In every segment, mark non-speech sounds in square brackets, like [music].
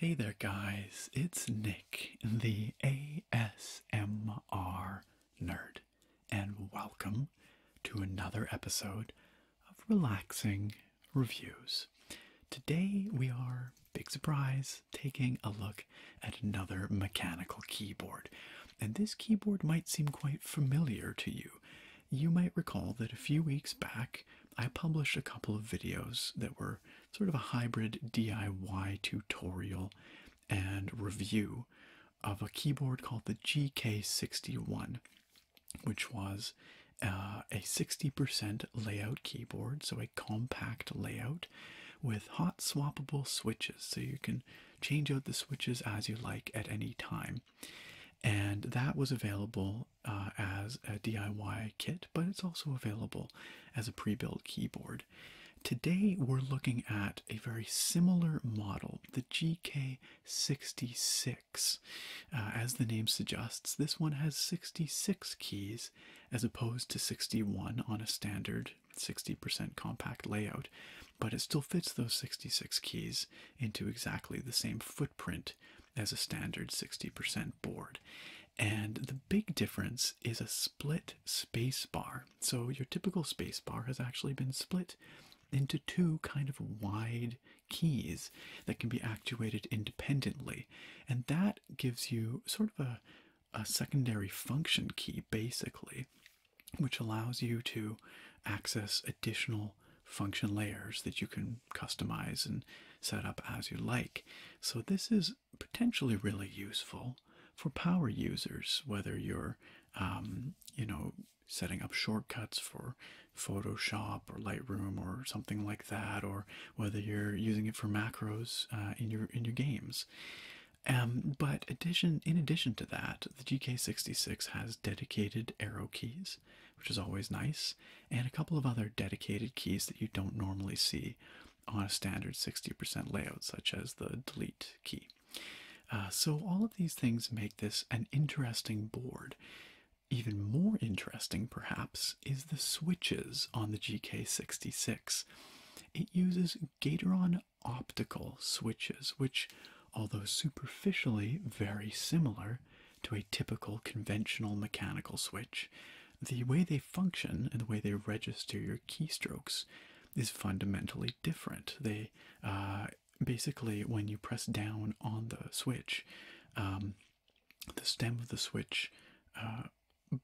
Hey there, guys, it's Nick, the ASMR nerd, and welcome to another episode of Relaxing reviews. Today we are, big surprise, taking a look at another mechanical keyboard. And this keyboard might seem quite familiar to you. You might recall that a few weeks back I published a couple of videos that were sort of a hybrid DIY tutorial and review of a keyboard called the GK61, which was uh, a 60% layout keyboard, so a compact layout with hot swappable switches, so you can change out the switches as you like at any time. And that was available uh, as a DIY kit, but it's also available as a pre built keyboard. Today, we're looking at a very similar model, the GK66. Uh, as the name suggests, this one has 66 keys as opposed to 61 on a standard 60% compact layout, but it still fits those 66 keys into exactly the same footprint as a standard 60% board. And the big difference is a split spacebar. So your typical spacebar has actually been split into two kind of wide keys that can be actuated independently, and that gives you sort of a, secondary function key basically, which allows you to access additional function layers that you can customize and set up as you like. So, this is potentially really useful for power users, whether you're um, you know, setting up shortcuts for Photoshop or Lightroom or something like that, or whether you're using it for macros uh, in your in your games. Um, but addition, in addition to that, the GK66 has dedicated arrow keys, which is always nice, and a couple of other dedicated keys that you don't normally see on a standard 60% layout, such as the delete key. Uh, so all of these things make this an interesting board. Even more interesting, perhaps, is the switches on the GK66. It uses Gateron optical switches, which, although superficially very similar to a typical conventional mechanical switch, the way they function and the way they register your keystrokes is fundamentally different. They uh, basically, when you press down on the switch, um, the stem of the switch uh,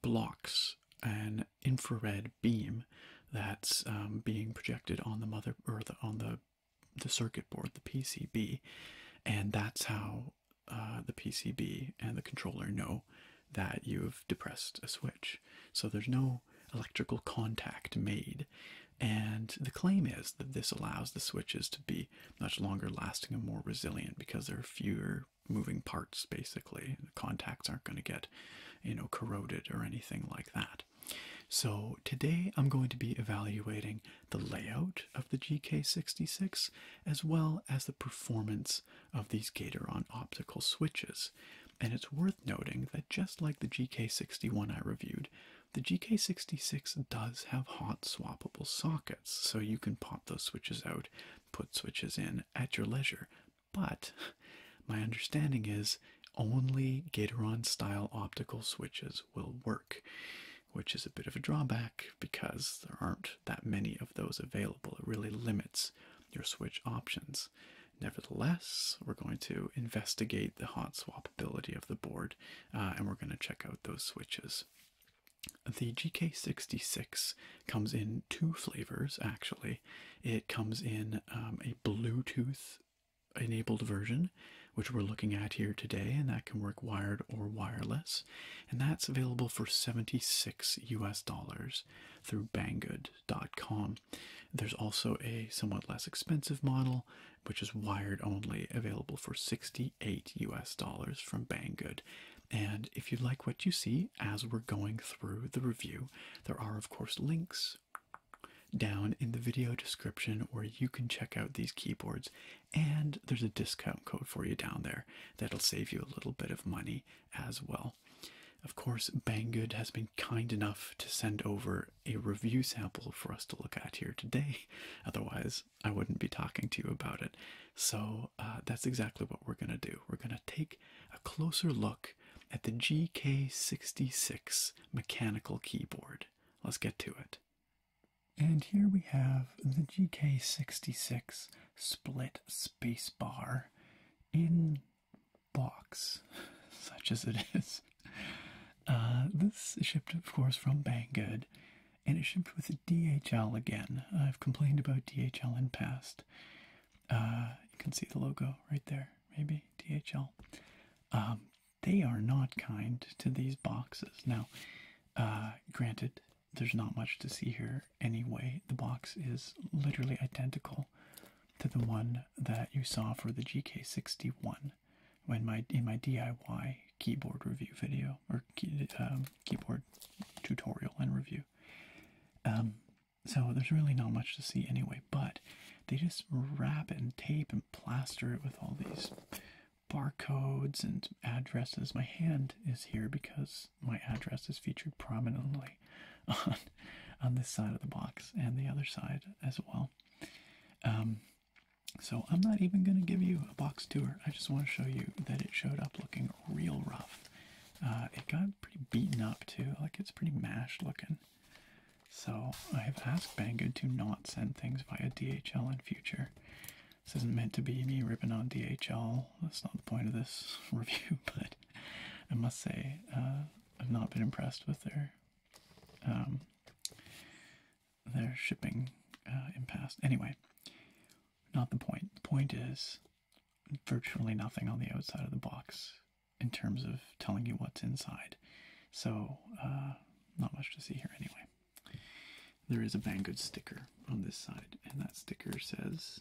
blocks an infrared beam that's um, being projected on the mother or on the the circuit board, the PCB, and that's how uh, the PCB and the controller know that you've depressed a switch. So there's no electrical contact made, and the claim is that this allows the switches to be much longer lasting and more resilient because there are fewer moving parts basically the contacts aren't going to get you know corroded or anything like that so today i'm going to be evaluating the layout of the gk66 as well as the performance of these gateron optical switches and it's worth noting that just like the gk61 i reviewed the gk66 does have hot swappable sockets so you can pop those switches out, put switches in at your leisure. But my understanding is only Gatoron style optical switches will work, which is a bit of a drawback because there aren't that many of those available. It really limits your switch options. Nevertheless, we're going to investigate the hot swapability of the board uh, and we're going to check out those switches. The GK66 comes in two flavors actually. It comes in um, a Bluetooth enabled version, which we're looking at here today, and that can work wired or wireless. And that's available for 76 US dollars through banggood.com. There's also a somewhat less expensive model, which is wired only, available for 60 Eight US dollars from Banggood. And if you like what you see as we're going through the review, there are of course links down in the video description where you can check out these keyboards and there's a discount code for you down there that'll save you a little bit of money as well. Of course, Banggood has been kind enough to send over a review sample for us to look at here today. [laughs] Otherwise, I wouldn't be talking to you about it. So uh, that's exactly what we're going to do. We're going to take a closer look at the GK66 mechanical keyboard. Let's get to it. And here we have the GK66 split spacebar in box, [laughs] such as it is. Uh, this shipped, of course, from Banggood and it shipped with DHL again. I've complained about DHL in past. Uh, you can see the logo right there, maybe DHL. Um, they are not kind to these boxes. Now, uh, granted, there's not much to see here anyway. The box is literally identical to the one that you saw for the GK61 when my in my DIY keyboard review video or um, keyboard tutorial and review. Um, so there's really not much to see anyway, but they just wrap it and tape and plaster it with all these barcodes and addresses. My hand is here because my address is featured prominently [laughs] on on this side of the box and the other side as well. Um, so I'm not even going to give you a box tour. I just want to show you that it showed up looking real rough. Uh, it got pretty beaten up too, like it's pretty mashed looking. So I have asked Banggood to not send things via DHL in future. This isn't meant to be me ripping on DHL. That's not the point of this [laughs] review, [laughs] but I must say uh, I've not been impressed with their um, their shipping uh, in past. Anyway, not the point. The point is virtually nothing on the outside of the box in terms of telling you what's inside. So, uh, not much to see here anyway. There is a Banggood sticker on this side, and that sticker says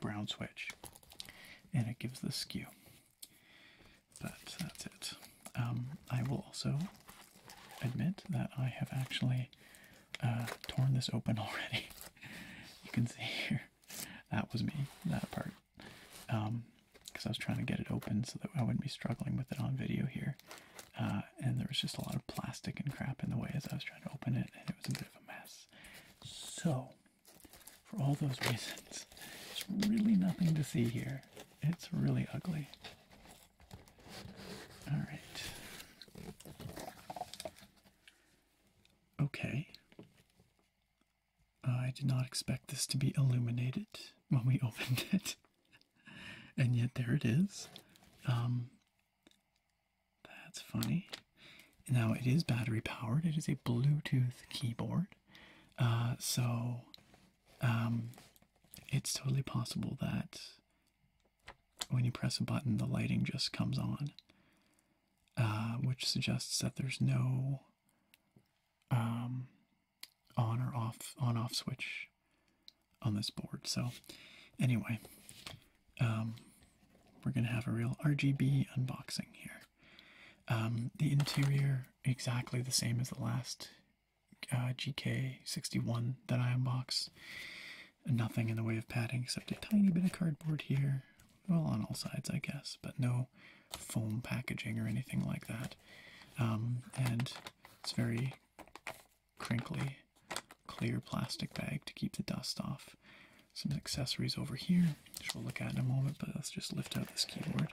brown switch, and it gives the skew. But that's it. Um, I will also admit that I have actually uh, torn this open [laughs] already. you can see here. That was me, that part. because um, I was trying to get it open so that I wouldn't be struggling with it on video here. Uh, and there was just a lot of plastic and crap in the way as I was trying to open it, and it was a bit of a mess. So, for all those [laughs] reasons, there's really nothing to see here. It's really ugly. All right. Okay. I did not expect this to be illuminated when we [laughs] opened it, and yet there it is. Um, that's funny. Now it is battery powered. It is a Bluetooth keyboard, uh, so um, it's totally possible that when you press a button, the lighting just comes on, uh, which suggests that there's no um, on or off on off switch on this board. So, anyway, um, we're gonna have a real RGB unboxing here. Um, the interior exactly the same as the last uh, GK61 that I unboxed nothing in the way of padding except a tiny bit of cardboard here. Well, on all sides, I guess, but no foam packaging or anything like that. Um, and it's very crinkly, clear plastic bag to keep the dust off. Some accessories over here, which we'll look at in a moment, but let's just lift out this keyboard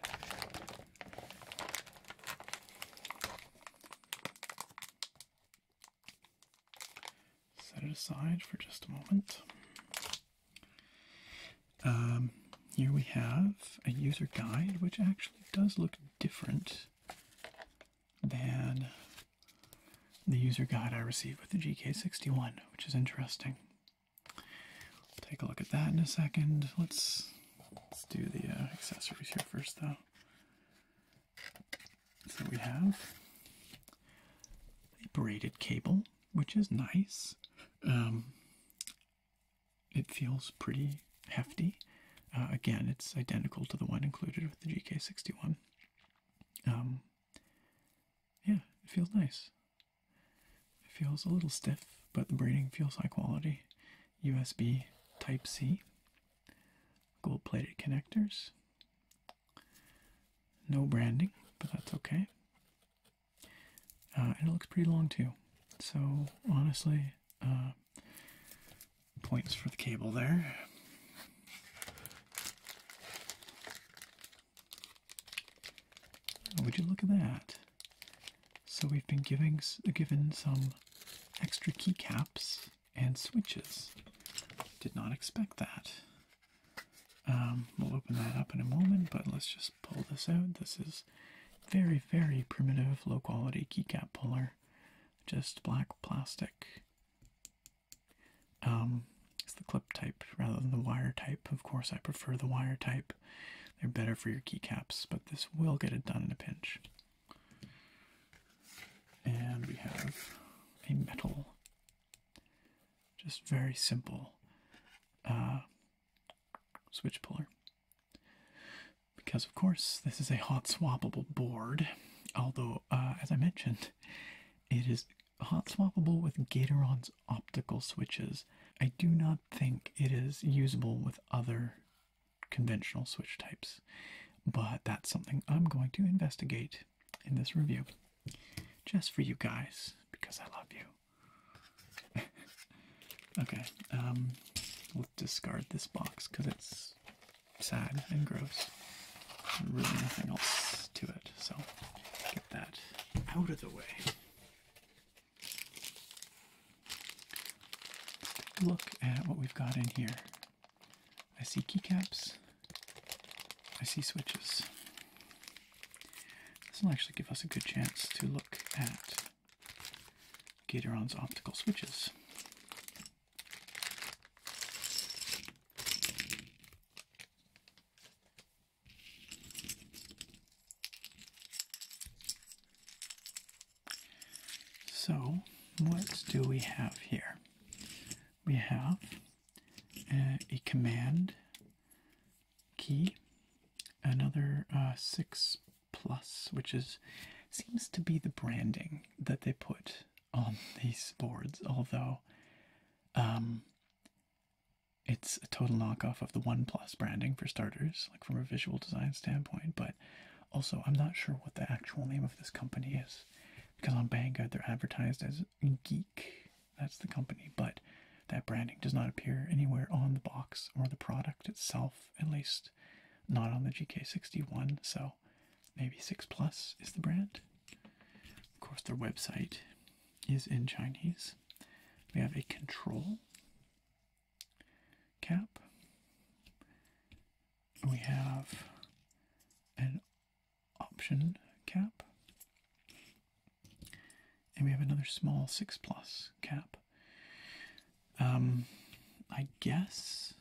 set it aside for just a moment. Um, here we have a user guide, which actually does look different than the user guide I received with the GK61, which is interesting. take a look at that in a second. Let's let's do the uh, accessories here first, though. So we have a braided cable, which is nice. Um, it feels pretty hefty. Uh, again, it's identical to the one included with the GK61. Um, yeah, it feels nice. It feels a little stiff, but the braiding feels high quality. USB Type C, gold plated connectors, no branding, but that's okay. Uh, and it looks pretty long too. So honestly, uh, points for the cable there. Oh, would you look at that? So we've been giving given some extra keycaps and switches. Did not expect that. Um, we'll open that up in a moment, but let's just pull this out. This is very, very primitive, low quality keycap puller, just black plastic. Um, it's the clip type rather than the wire type. Of course, I prefer the wire type. They're better for your keycaps, but this will get it done in a pinch. And we have a metal, just very simple uh, switch puller. Because, of course, this is a hot swappable board, although, uh, as I mentioned, it is hot swappable with Gatoron's optical switches. I do not think it is usable with other conventional switch types, but that's something I'm going to investigate in this review just for you guys because I love you. [laughs] okay, um, we'll discard this box because it's sad and gross. There's really nothing else to it, so get that out of the way. Let's take a look at what we've got in here. I see keycaps. I see switches. This will actually give us a good chance to look at Gatoron's optical switches. So, what do we have here? we have uh, a command key, another uh, six plus, which is seems to be the branding that they put on [laughs] these boards, although um, it's a total knockoff of the one plus branding for starters, like from a visual design standpoint, but also I'm not sure what the actual name of this company is because on Banggood they're advertised as Geek. That's the company, but that branding does not appear anywhere on the box or the product itself, at least not on the GK61. So maybe 6 Plus is the brand. Of course, their website is in Chinese. We have a control cap. We have an option cap. And we have another small 6 plus cap. Um, I guess,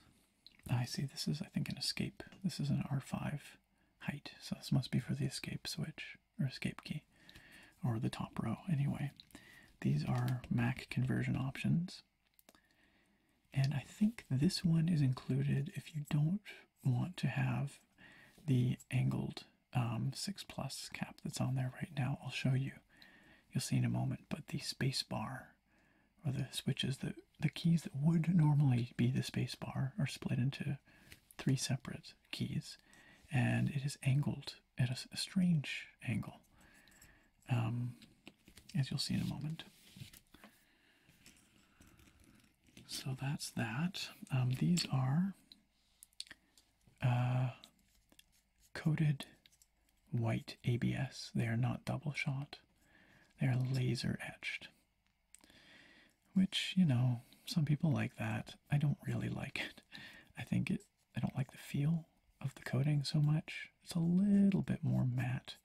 I see this is, I think, an escape. This is an R5 height, so this must be for the escape switch, or escape key, or the top row anyway. These are Mac conversion options. And I think this one is included if you don't want to have the angled um, 6 Plus cap that's on there right now. I'll show you. You'll see in a moment. But the space bar, or the switches, the, the keys that would normally be the space bar, are split into three separate keys. And it is angled at a, strange angle, um, as you'll see in a moment. So that's that. Um, these are uh, coated white ABS. They are not double shot, they are laser etched. Which, you know, some people like that. I don't really like it. I think it, I don't like the feel of the coating so much. It's a little bit more matte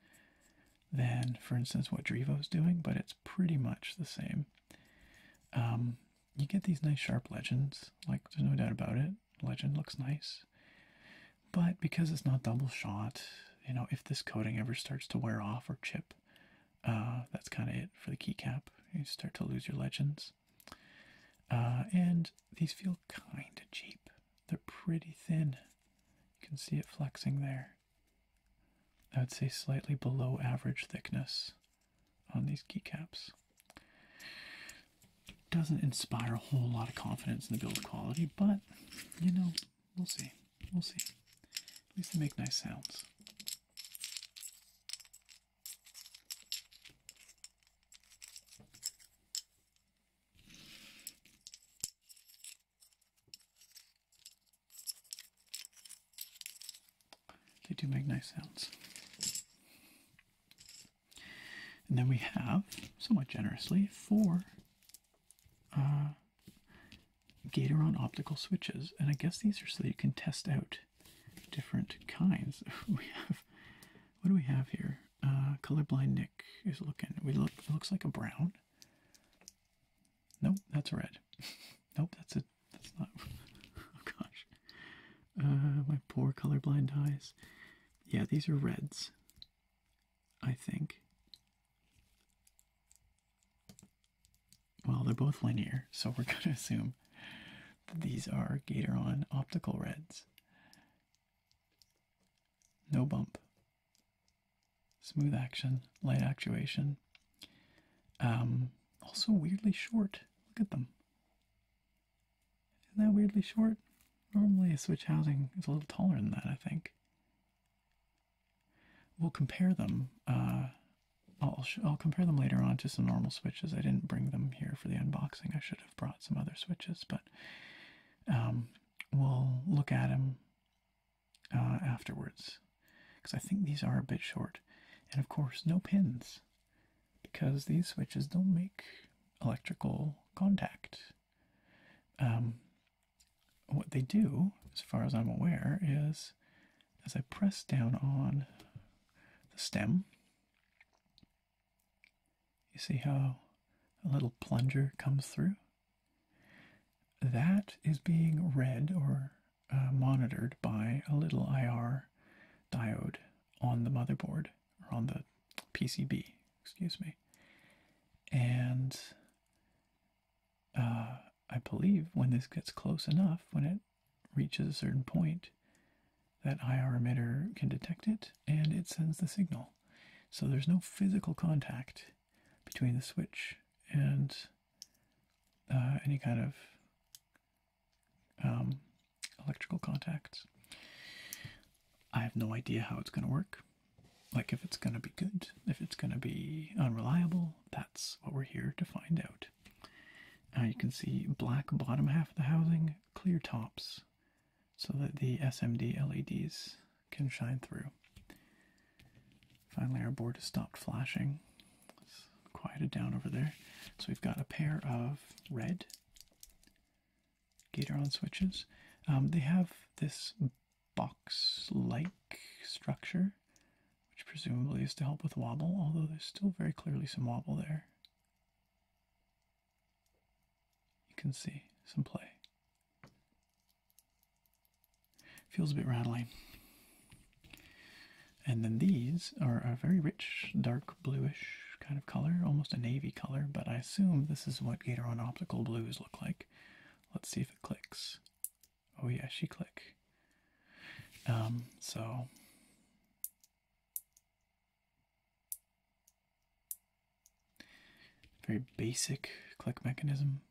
than, for instance, what Drivo's doing, but it's pretty much the same. Um, you get these nice sharp legends, like there's no doubt about it. Legend looks nice, but because it's not double shot, you know, if this coating ever starts to wear off or chip, uh, that's kind of it for the keycap. You start to lose your legends. Uh, and these feel kind of cheap. They're pretty thin. You can see it flexing there. I'd say slightly below average thickness on these keycaps. Doesn't inspire a whole lot of confidence in the build quality, but you know, we'll see. We'll see. At least they make nice sounds. They do make nice sounds. And then we have, somewhat generously, four uh, Gatoron optical switches. And I guess these are so you can test out different kinds. [laughs] we have, what do we have here? Uh, colorblind Nick is looking. We look, it looks like a brown. Nope, that's red. [laughs] nope, that's a that's not. [laughs] oh gosh, uh, my poor colorblind eyes. Yeah, these are reds. I think. Well, they're both linear, so we're [laughs] gonna assume that these are Gatoron optical reds. No bump. Smooth action, light actuation. Um, also weirdly short. Look at them. Isn't that weirdly short? Normally a switch housing is a little taller than that, I think. We'll compare them. Uh, I'll, compare them later on to some normal switches. I didn't bring them here for the unboxing. I should have brought some other switches, but um, we'll look at them uh, afterwards because I think these are a bit short. And of course, no pins because these switches don't make electrical contact. Um, what they do, as far as I'm aware, is as I press down on the stem, you see how a little plunger comes through? That is being read or uh, monitored by a little IR diode on the motherboard or on the PCB, excuse me. And uh, I believe when this gets close enough, when it reaches a certain point, that IR emitter can detect it and it sends the signal. So there's no physical contact between the switch and uh, any kind of um, electrical contacts. I have no idea how it's going to work. Like, if it's going to be good, if it's going to be unreliable, that's what we're here to find out. Uh, you can see black bottom half of the housing, clear tops, so that the SMD LEDs can shine through. Finally, our board has stopped flashing. It's quieted down over there. So we've got a pair of red Gatoron switches. Um, they have this box-like structure, which presumably is to help with wobble, although there's still very clearly some wobble there. You can see some play. Feels a bit rattly. And then these are a very rich, dark bluish kind of color, almost a navy color, but I assume this is what Gatoron Optical Blues look like. Let's see if it clicks. Oh yeah, she click. Um, so... Very basic click mechanism.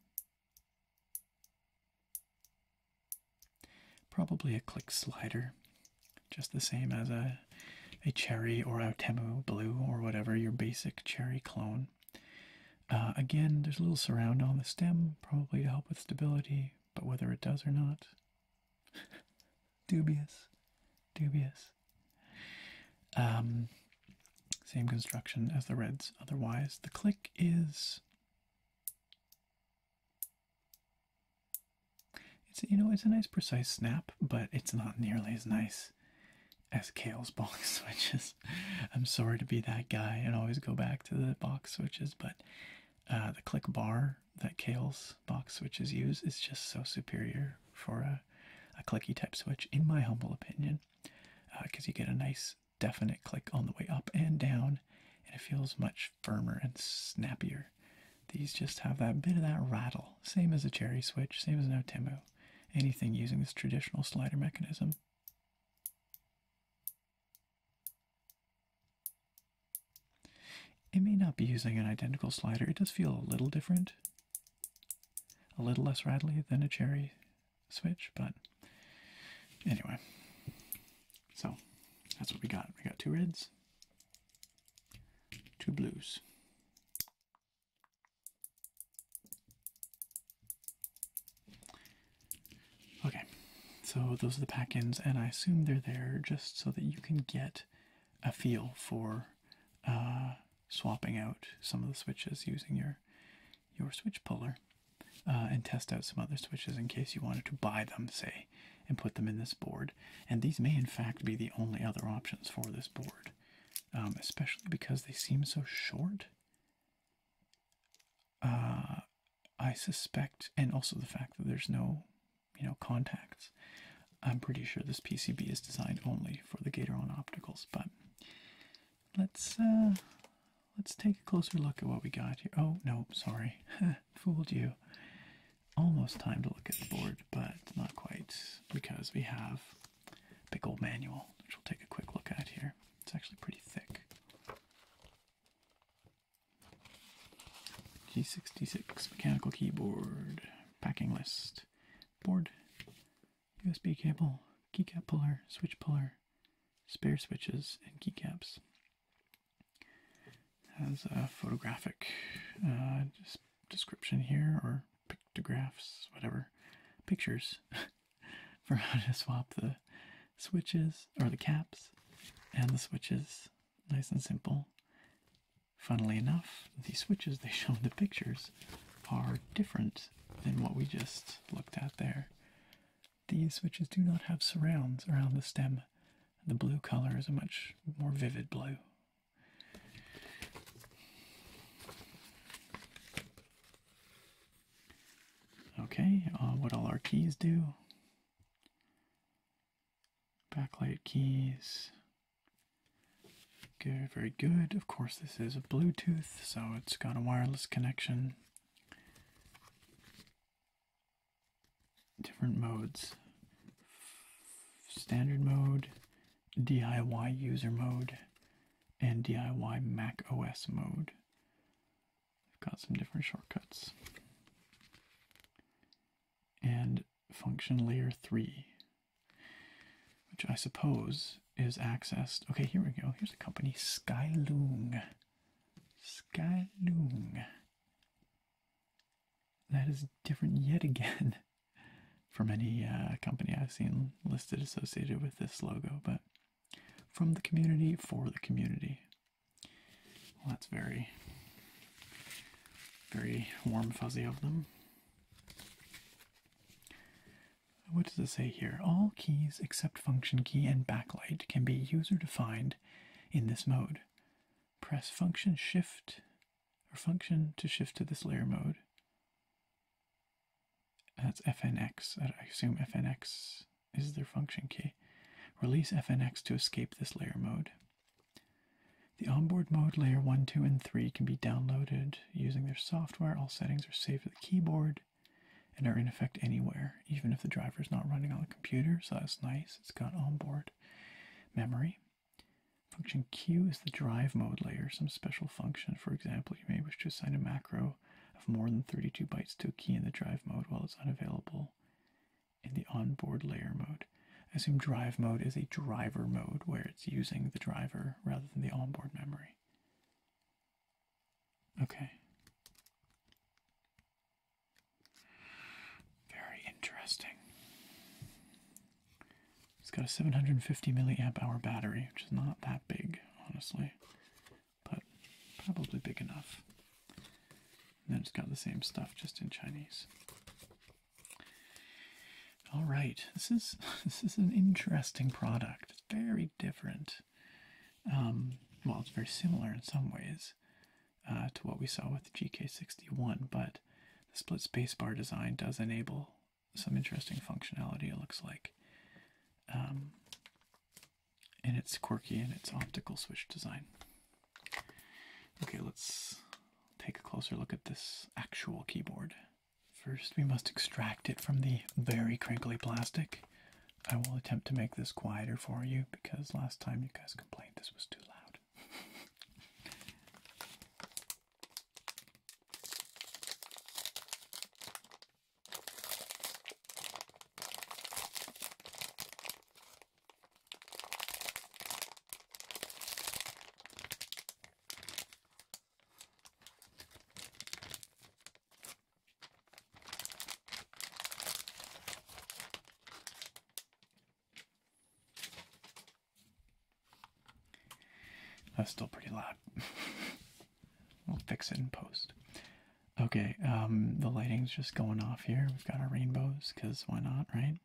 Probably a click slider, just the same as a, a cherry or a Temu blue or whatever, your basic cherry clone. Uh, again, there's a little surround on the stem, probably to help with stability, but whether it does or not, [laughs] dubious, dubious. Um, same construction as the reds. Otherwise, the click is. It's you know it's a nice precise snap, but it's not nearly as nice as Kale's [laughs] box switches. I'm sorry to be that guy and always go back to the box switches, but uh, the click bar that Kale's box switches use is just so superior for a, clicky type switch, in my humble opinion, because uh, you get a nice definite click on the way up and down, and it feels much firmer and snappier. These just have that bit of that rattle, same as a cherry switch, same as an Otemu, anything using this traditional slider mechanism. It may not be using an identical slider, it does feel a little different, a little less rattly than a cherry Switch, but anyway. So that's what we got. We got two reds, two blues. Okay, so those are the pack ins, and I assume they're there just so that you can get a feel for uh, swapping out some of the switches using your your switch puller uh, and test out some other switches in case you wanted to buy them, say, and put them in this board. And these may, in fact, be the only other options for this board, um, especially because they seem so short. Uh, I suspect, and also the fact that there's no, you know, contacts. I'm pretty sure this PCB is designed only for the Gatoron opticals, but let's uh, let's take a closer look at what we got here. Oh, no, sorry. [laughs] Fooled you. Almost time to look at the board, but not quite because we have big old manual, which we'll take a quick look at here. It's actually pretty thick. G66 mechanical keyboard, packing list, board, USB cable, keycap puller, switch puller, spare switches and keycaps. Has a photographic uh, description here, or pictographs, whatever, pictures [laughs] for how to swap the switches or the caps and the switches. Nice and simple. Funnily enough, the switches they [laughs] show in the pictures are different than what we just looked at there. These switches do not have surrounds around the stem, the blue color is a much more vivid blue. Okay, uh, what all our keys do? Backlight keys. Good, very good. Of course, this is a Bluetooth, so it's got a wireless connection different modes standard mode, DIY user mode, and DIY Mac OS mode. I've got some different shortcuts. And function layer 3, which I suppose is accessed. Okay, here we go. Here's a company, Skyloom. Skylung. That is different yet again [laughs] from any uh, company I've seen listed associated with this logo, but from the community for the community. that's very, very warm fuzzy of them what does it say here? All keys except function key and backlight can be user defined in this mode. Press function shift or function to shift to this layer mode. That's FNX. I assume FNX is their function key. Release FNX to escape this layer mode. The onboard mode layer 1, 2, and 3 can be downloaded using their software. All settings are saved to the keyboard and are in effect anywhere, even if the driver is not running on the computer. So that's nice. It's got onboard memory. Function Q is the drive mode layer, some special function. For example, you may wish to assign a macro of more than 32 bytes to a key in the drive mode while it's unavailable in the onboard layer mode. assume drive mode is a driver mode where it's using the driver rather than the onboard memory. Okay. Very interesting. It's got a 750 milliamp hour battery, which is not that big, honestly, but probably big enough. And then it's got the same stuff just in Chinese. All right, this is [laughs] this is an interesting product. It's very different. Um, well, it's very similar in some ways uh, to what we saw with the GK61, but the split spacebar design does enable some interesting functionality, it looks like. Um, and it's quirky in its optical switch design. Okay, let's take a closer look at this actual keyboard. First, we must extract it from the very crinkly plastic. I will attempt to make this quieter for you because last time you guys complained this was too loud. That's still pretty loud. [laughs] we'll fix it in post. Okay, um, the lighting's just going off here. We've got our rainbows, because why not, right?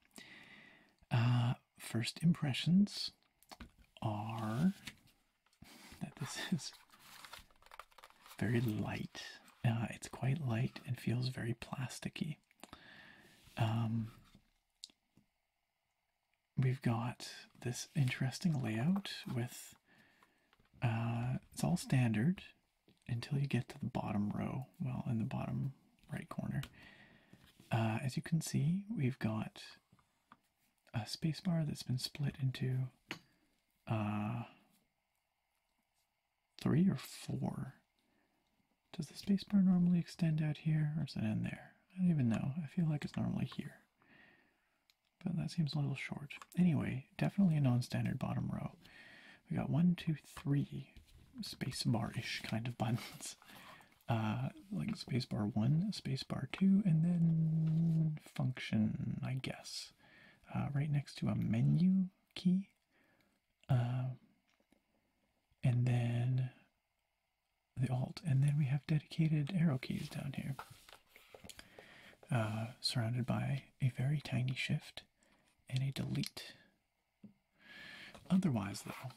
Uh, first impressions are that this [laughs] is very light. Uh, it's quite light and feels very plasticky. Um, we've got this interesting layout with uh, it's all standard until you get to the bottom row. Well, in the bottom right corner, uh, as you can see, we've got a space bar that's been split into three or four. Does the spacebar normally extend out here or is it in there? I don't even know. I feel like it's normally here. But that seems a little short. Anyway, definitely a non-standard bottom row. We got one, two, three spacebar-ish kind of buttons. [laughs] Uh, like spacebar one, spacebar two, and then function, I guess. Uh, right next to a menu key. Um, and then the alt, and then we have dedicated arrow keys down here, uh, surrounded by a very tiny shift and a delete. Otherwise, though,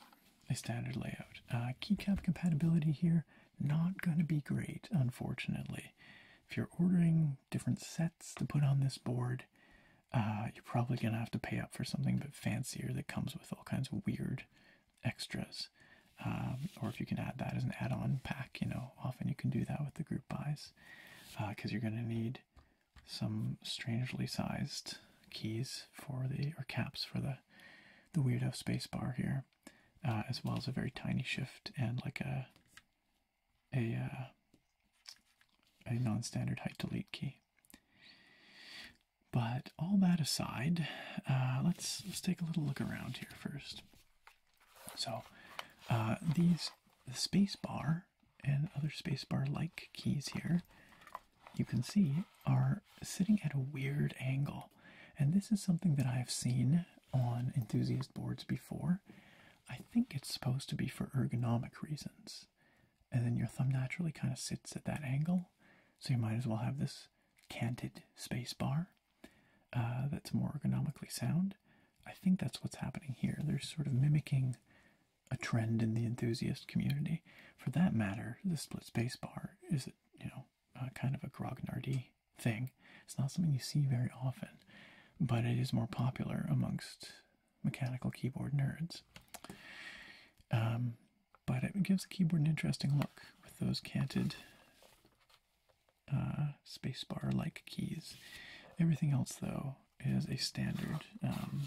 a standard layout. Uh, keycap compatibility here, not going to be great, unfortunately. If you're ordering different sets to put on this board. Uh, you're probably gonna have to pay up for something a fancier that comes with all kinds of weird extras. Um, or if you can add that as an add-on pack, you know, often you can do that with the group buys, because uh, you're gonna need some strangely sized keys for the or caps for the the weirdo space bar here, uh, as well as a very tiny shift and like a a uh, a non-standard height delete key. But all that aside, uh, let's let's take a little look around here first. So uh, these the space bar and other space bar like keys here, you can see are sitting at a weird angle, and this is something that I've seen on enthusiast boards before. I think it's supposed to be for ergonomic reasons. And then your thumb naturally kind of sits at that angle, so you might as well have this canted space bar uh, that's more ergonomically sound. I think that's what's happening here. They're sort of mimicking a trend in the enthusiast community. For that matter, the split space bar is, you know, uh, kind of a grognardy thing. It's not something you see very often, but it is more popular amongst mechanical keyboard nerds. Um, but it gives the keyboard an interesting look with those canted uh, spacebar like keys. Everything else, though, is a standard um,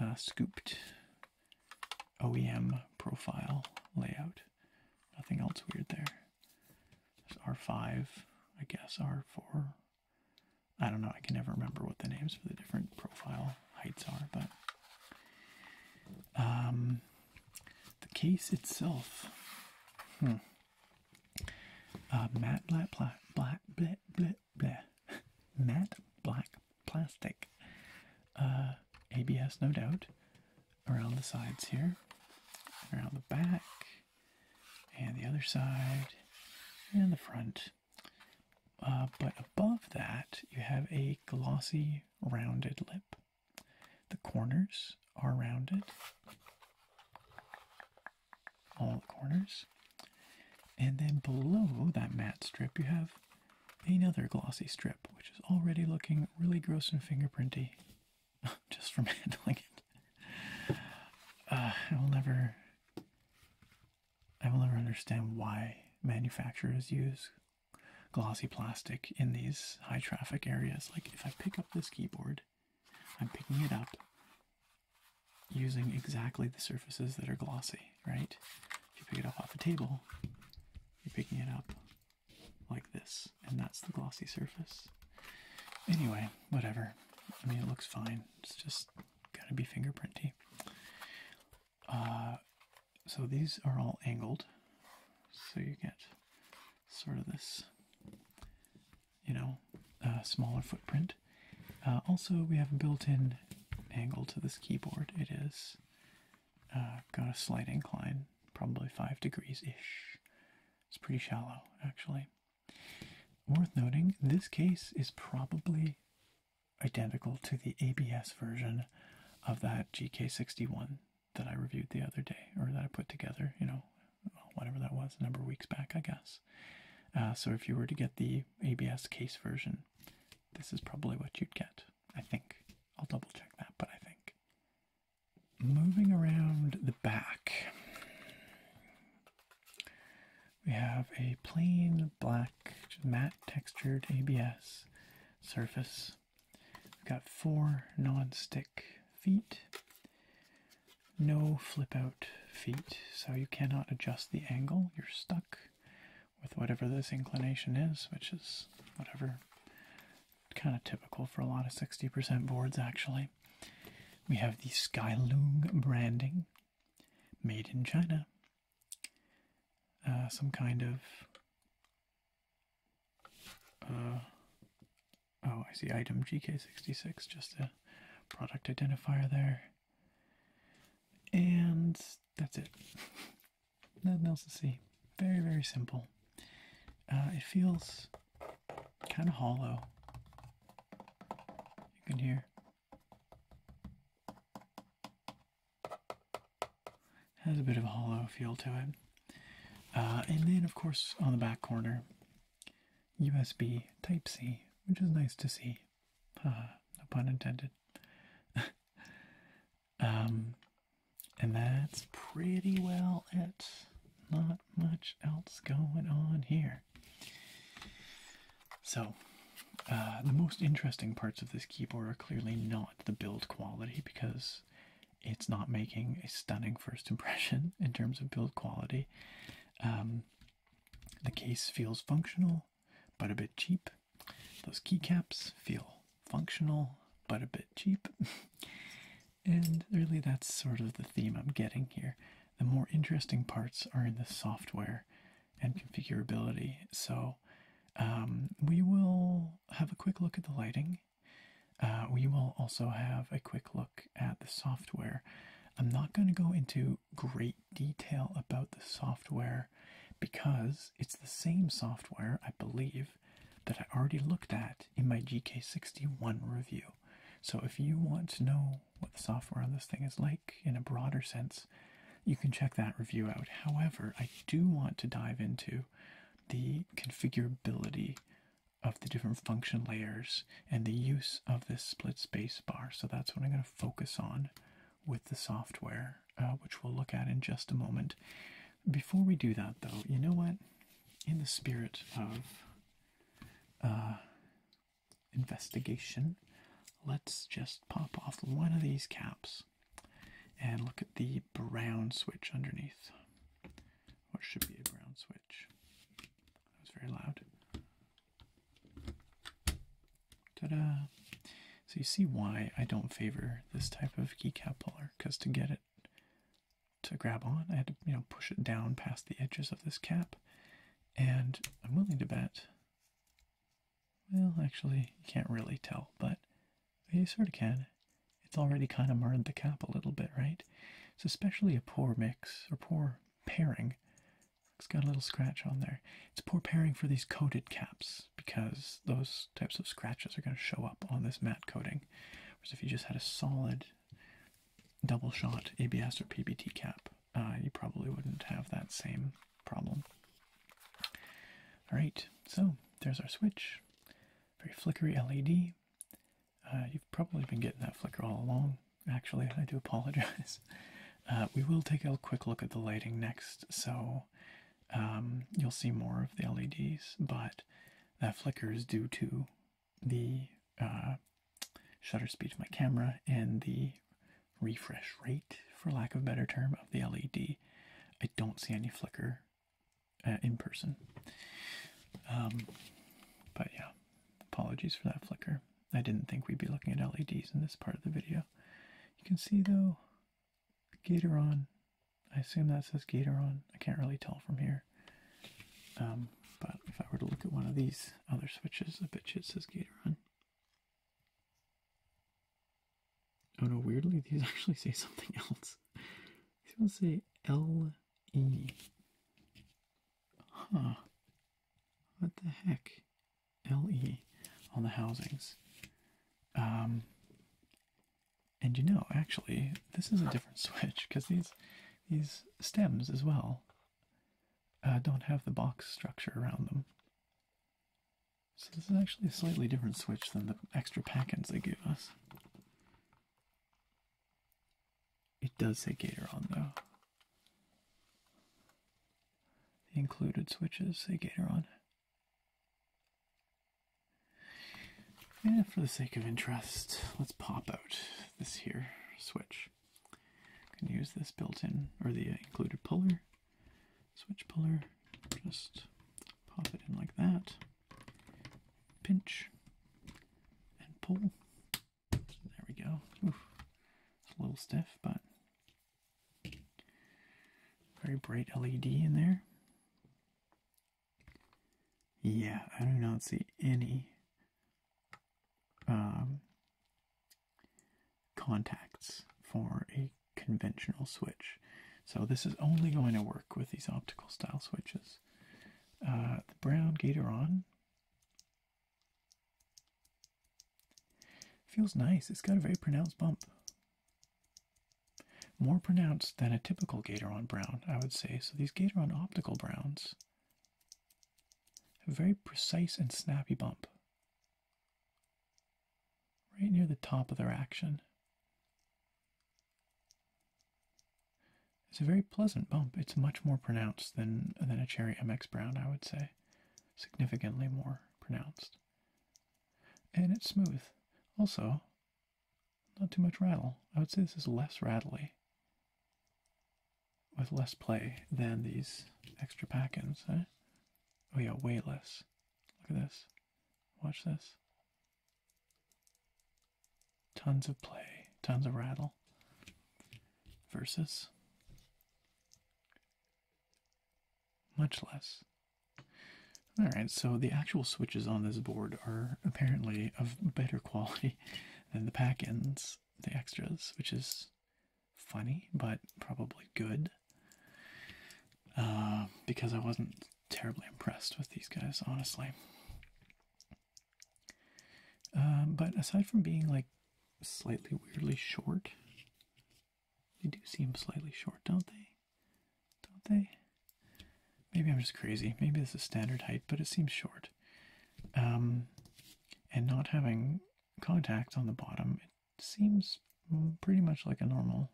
uh, scooped OEM profile layout. Nothing else weird there. R5, I guess, R4. I don't know, I can never remember what the names for the different profile heights are, but um, the case itself. Hmm. Uh, matte black, [laughs] plastic. Uh, ABS, no doubt. Around the sides here, around the back, and the other side and the front. Uh, but above that, you have a glossy rounded lip. The corners are rounded, all the corners. And then below that matte strip, you have another glossy strip, which is already looking really gross and fingerprinty. [laughs] just from [laughs] handling it. Uh, I will never. I will never understand why manufacturers use glossy plastic in these high traffic areas. Like, if I pick up this keyboard, I'm picking it up using exactly the surfaces that are glossy, right? If you pick it up off a table, you're picking it up like this, and that's the glossy surface. Anyway, whatever. I mean, it looks fine. It's just gotta be fingerprinty. Uh, so these are all angled, so you get sort of this, you know, uh, smaller footprint. Uh, also, we have a built-in angle to this keyboard. It is got a slight incline, probably five degrees ish, it's pretty shallow, actually. Worth noting, this case is probably identical to the ABS version of that GK61 that I reviewed the other day, or that I put together, you know, whatever that was, a number of weeks back, I guess. Uh, so if you were to get the ABS case version, this is probably what you'd get, I think. I'll double check that, but I think moving around the back, we have a plain black, matte textured ABS surface. We've got four non stick feet, no flip out feet, so you cannot adjust the angle. You're stuck with whatever this inclination is, which is whatever kind of typical for a lot of 60% boards, actually. We have the Skylung branding, made in China. Uh, some kind of. Uh, oh, I see item GK66, just a product identifier there. And that's it. [laughs] Nothing else to see. Very, very simple. Uh, it feels kind of hollow. You can hear. Has a bit of a hollow feel to it. Uh, and then, of course, on the back corner, USB Type C, which is nice to see. Uh, no pun intended. [laughs] um, and that's pretty well it. Not much else going on here. So, uh, the most interesting parts of this keyboard are clearly not the build quality because it's not making a stunning first [laughs] impression in terms of build quality. Um, the case feels functional but a bit cheap. Those keycaps feel functional but a bit cheap. [laughs] And really, that's sort of the theme I'm getting here. The more interesting parts are in the software and configurability. So, um, we will have a quick look at the lighting. Uh, we will also have a quick look at the software. I'm not going to go into great detail about the software because it's the same software, I believe, that I already looked at in my GK61 review. So if you want to know what the software on this thing is like in a broader sense, you can check that review out. However, I do want to dive into the configurability of the different function layers and the use of this split space bar. So that's what I'm going to focus on with the software, uh, which we'll look at in just a moment. Before we do that, though, you know what? In the spirit of uh, investigation, let's just pop off one of these caps and look at the brown switch underneath. What should be a brown switch? That was very loud. Ta-da! So you see why I don't favor this type of keycap puller, because to get it to grab on. I had to, you know, push it down past the edges of this cap. And I'm willing to bet, well, actually, you can't really tell, but you sort of can. It's already kind of marred the cap a little bit, right? It's especially a poor mix, or poor pairing. It's got a little scratch on there. It's poor pairing for these coated caps, because those types of scratches are going to show up on this matte coating. Whereas if you just had a solid double shot ABS or PBT cap, uh, you probably wouldn't have that same problem. Alright, so there's our switch. Very flickery LED. Uh, you've probably been getting that flicker all along. Actually, I do apologize. [laughs] Uh, we will take a quick look at the lighting next, so um, you'll see more of the LEDs, but that flicker is due to the uh, shutter speed of my camera and the refresh rate, for lack of better term, of the LED. I don't see any flicker uh, in person. Um, but yeah, apologies for that flicker. I didn't think we'd be looking at LEDs in this part of the video. You can see though, Gatoron. I assume that says Gatoron. I can't really tell from here. Um, but if I were to look at one of these other switches, a bet it says Gatoron. Oh no, weirdly, these [laughs] actually say something else. These ones say L-E. Huh. What the heck? L-E on the housings. Um, and you know, actually, this is a different [laughs] switch because these these stems as well uh, don't have the box structure around them. So this is actually a slightly different switch than the extra packets they give us. It does say Gator on though. The included switches say Gator on. And for the sake of interest, let's pop out this here switch. can use this built-in or the included puller, switch puller. Just pop it in like that. Pinch and pull. There we go. a little stiff, but very bright LED in there. Yeah, I do not see any um, contacts for a conventional switch. So this is only going to work with these optical style switches. Uh, the brown gator on feels nice. It's got a very pronounced bump. More pronounced than a typical gator on brown, I would say. So these gator on optical browns a very precise and snappy bump. Right near the top of their action. It's a very pleasant bump. It's much more pronounced than, than a Cherry MX Brown, I would say. Significantly more pronounced. And it's smooth. Also, not too much rattle. I would say this is less rattly with less play than these extra pack-ins, eh? Oh yeah, weightless. Look at this. Watch this. Tons of play, tons of rattle. Versus much less. Alright, so the actual switches on this board are apparently of better [laughs] quality than the pack-ins the extras, which is funny but probably good. Uh, because I wasn't terribly impressed with these guys, honestly. Um, but aside from being like slightly weirdly short, they do seem slightly short, don't they? Don't they? Maybe I'm just crazy. Maybe this is standard height, but it seems short. Um, and not having contacts on the bottom, it seems pretty much like a normal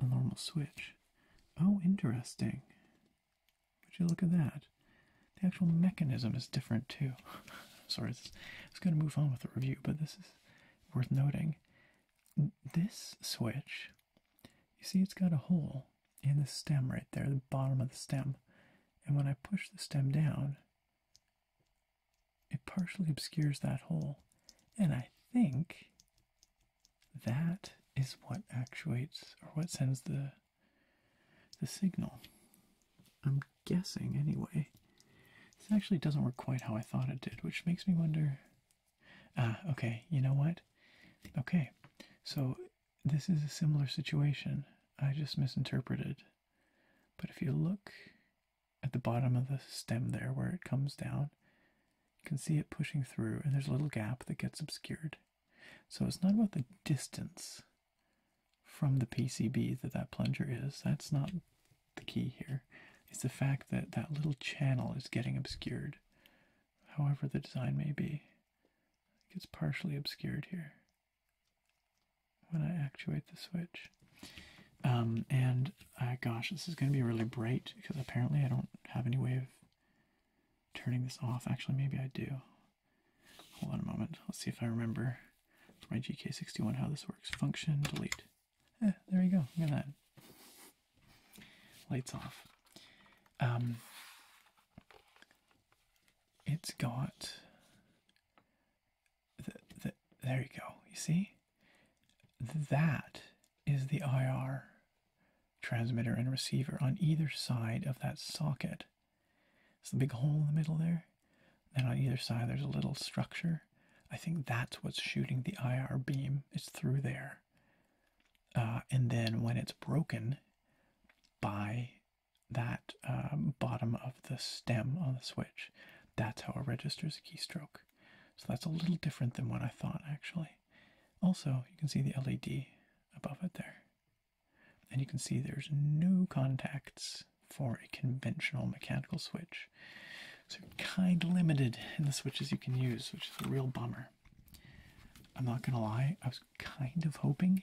normal switch. Oh, interesting. Would you look at that? The actual mechanism is different too. [laughs] Sorry, its I going to move on with the review, but this is worth noting. This switch, you see, it's got a hole in the stem right there, the bottom of the stem. And when I push the stem down, it partially obscures that hole. And I think that is what actuates or what sends the the signal. I'm guessing anyway. This actually doesn't work quite how I thought it did, which makes me wonder. Ah, okay, you know what? Okay, so this is a similar situation. I just misinterpreted. But if you look at the bottom of the stem there where it comes down, you can see it pushing through, and there's a little gap that gets obscured. So it's not about the distance from the PCB that that plunger is. That's not the key here. It's the fact that that little channel is getting obscured, however the design may be. It gets partially obscured here when I actuate the switch. Um, and uh, gosh, this is going to be really bright because apparently I don't have any way of turning this off. Actually, maybe I do. Hold on a moment. Let's see if I remember my GK61 how this works. Function delete. Eh, there you go. Look at that. Lights off. Um, it's got the, the, there you go you see that is the IR transmitter and receiver on either side of that socket it's the big hole in the middle there and on either side there's a little structure I think that's what's shooting the IR beam it's through there uh, and then when it's broken by that um, bottom of the stem on the switch. That's how it registers a keystroke. So that's a little different than what I thought actually. Also, you can see the LED above it there. And you can see there's no contacts for a conventional mechanical switch. So kind of limited in the switches you can use, which is a real bummer. I'm not gonna lie, I was kind of hoping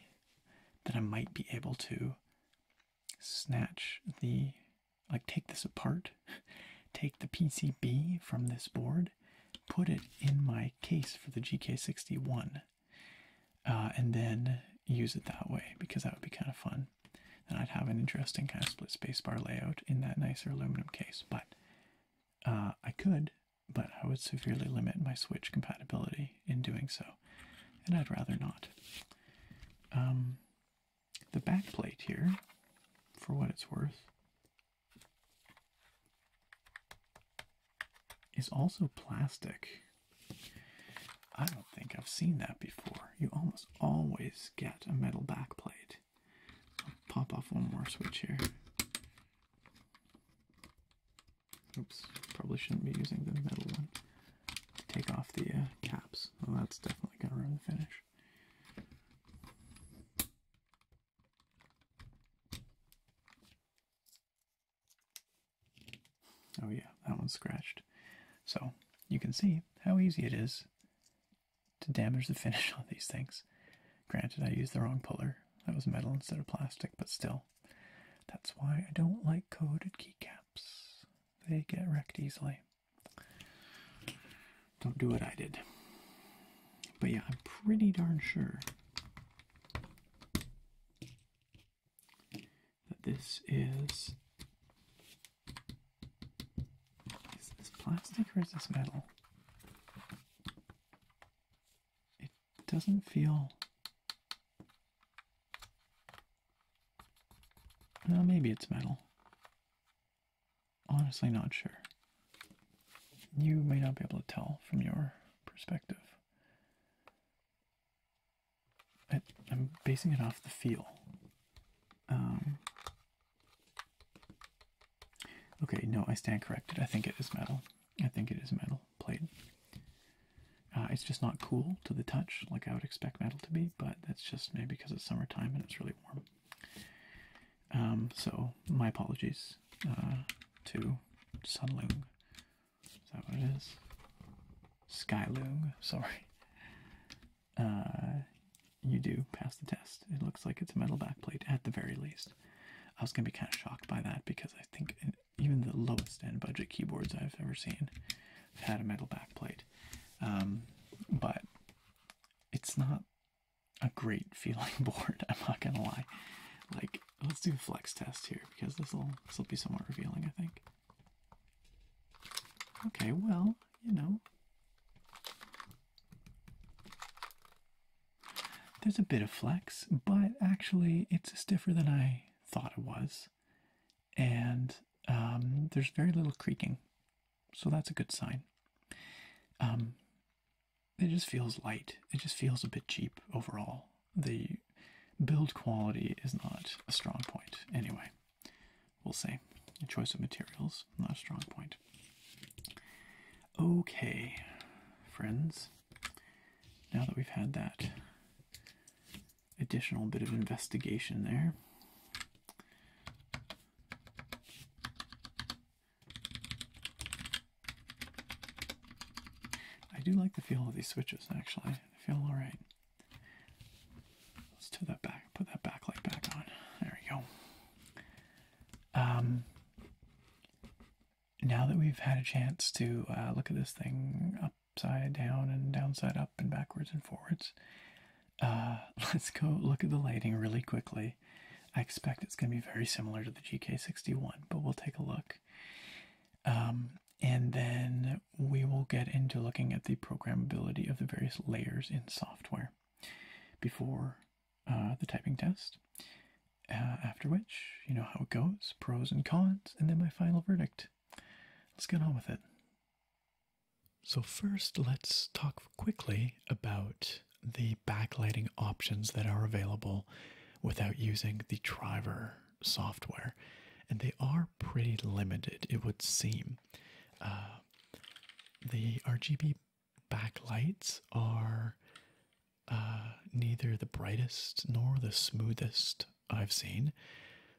that I might be able to snatch the, like, take this apart, [laughs] take the PCB from this board, put it in my case for the GK61, uh, and then use it that way because that would be kind of fun. And I'd have an interesting kind of split spacebar layout in that nicer aluminum case. But uh, I could but I would severely limit my Switch compatibility in doing so, and I'd rather not. Um, the back plate here, for what it's worth, is also plastic. I don't think I've seen that before. You almost always get a metal backplate. i pop off one more switch here. Oops, probably shouldn't be using the metal one. to Take off the uh, caps. Oh, that's definitely going to ruin the finish. Oh yeah, that one's scratched. So you can see how easy it is to damage the finish [laughs] on these things. Granted, I used the wrong puller. That was metal instead of plastic, but still. That's why I don't like coded keycaps. They get wrecked easily. Don't do what I did. But yeah, I'm pretty darn sure that this is. Is this plastic or is this metal? it doesn't feel. Well, maybe it's metal. Honestly, not sure. You may not be able to tell from your perspective. I, am basing it off the feel. Um, okay, no, I stand corrected. I think it is metal. I think it is metal plate. Uh, it's just not cool to the touch like I would expect metal to be, but that's just maybe because it's summertime and it's really warm. Um, so my apologies uh, to Sunloom. Is that what it is? Skyloom, [laughs] sorry. Uh, you do pass the test. It looks like it's a metal back plate at the very least. I was going to be kind of shocked by that because I think even the lowest end budget keyboards I've ever seen had a metal backplate. Um, but it's not a great [laughs] feeling board, I'm not gonna lie. Like, let's do a flex test here because this'll this'll be somewhat revealing, I think. Okay, well, you know. There's a bit of flex, but actually it's stiffer than I thought it was, and um, there's very little creaking, so that's a good sign. Um, it just feels light. It just feels a bit cheap overall. The build quality is not a strong point. Anyway, we'll say the choice of materials not a strong point. Okay, friends, now that we've had that additional bit of investigation there. I do like the feel of these switches actually. They feel alright. Let's do that back, put that backlight back on. There we go. Um now that we've had a chance to uh, look at this thing upside down and downside up and backwards and forwards, uh, [laughs] let's go look at the lighting really quickly. I expect it's going to be very similar to the GK61, but we'll take a look. Um, and then we will get into looking at the programmability of the various layers in software before uh, the typing test. Uh, after which, you know how it goes pros and cons, and then my final verdict. Let's get on with it. So, first, let's talk quickly about the backlighting options that are available without using the Triver software. And they are pretty limited, it would seem. Uh, the RGB backlights are uh, neither the brightest nor the smoothest I've seen,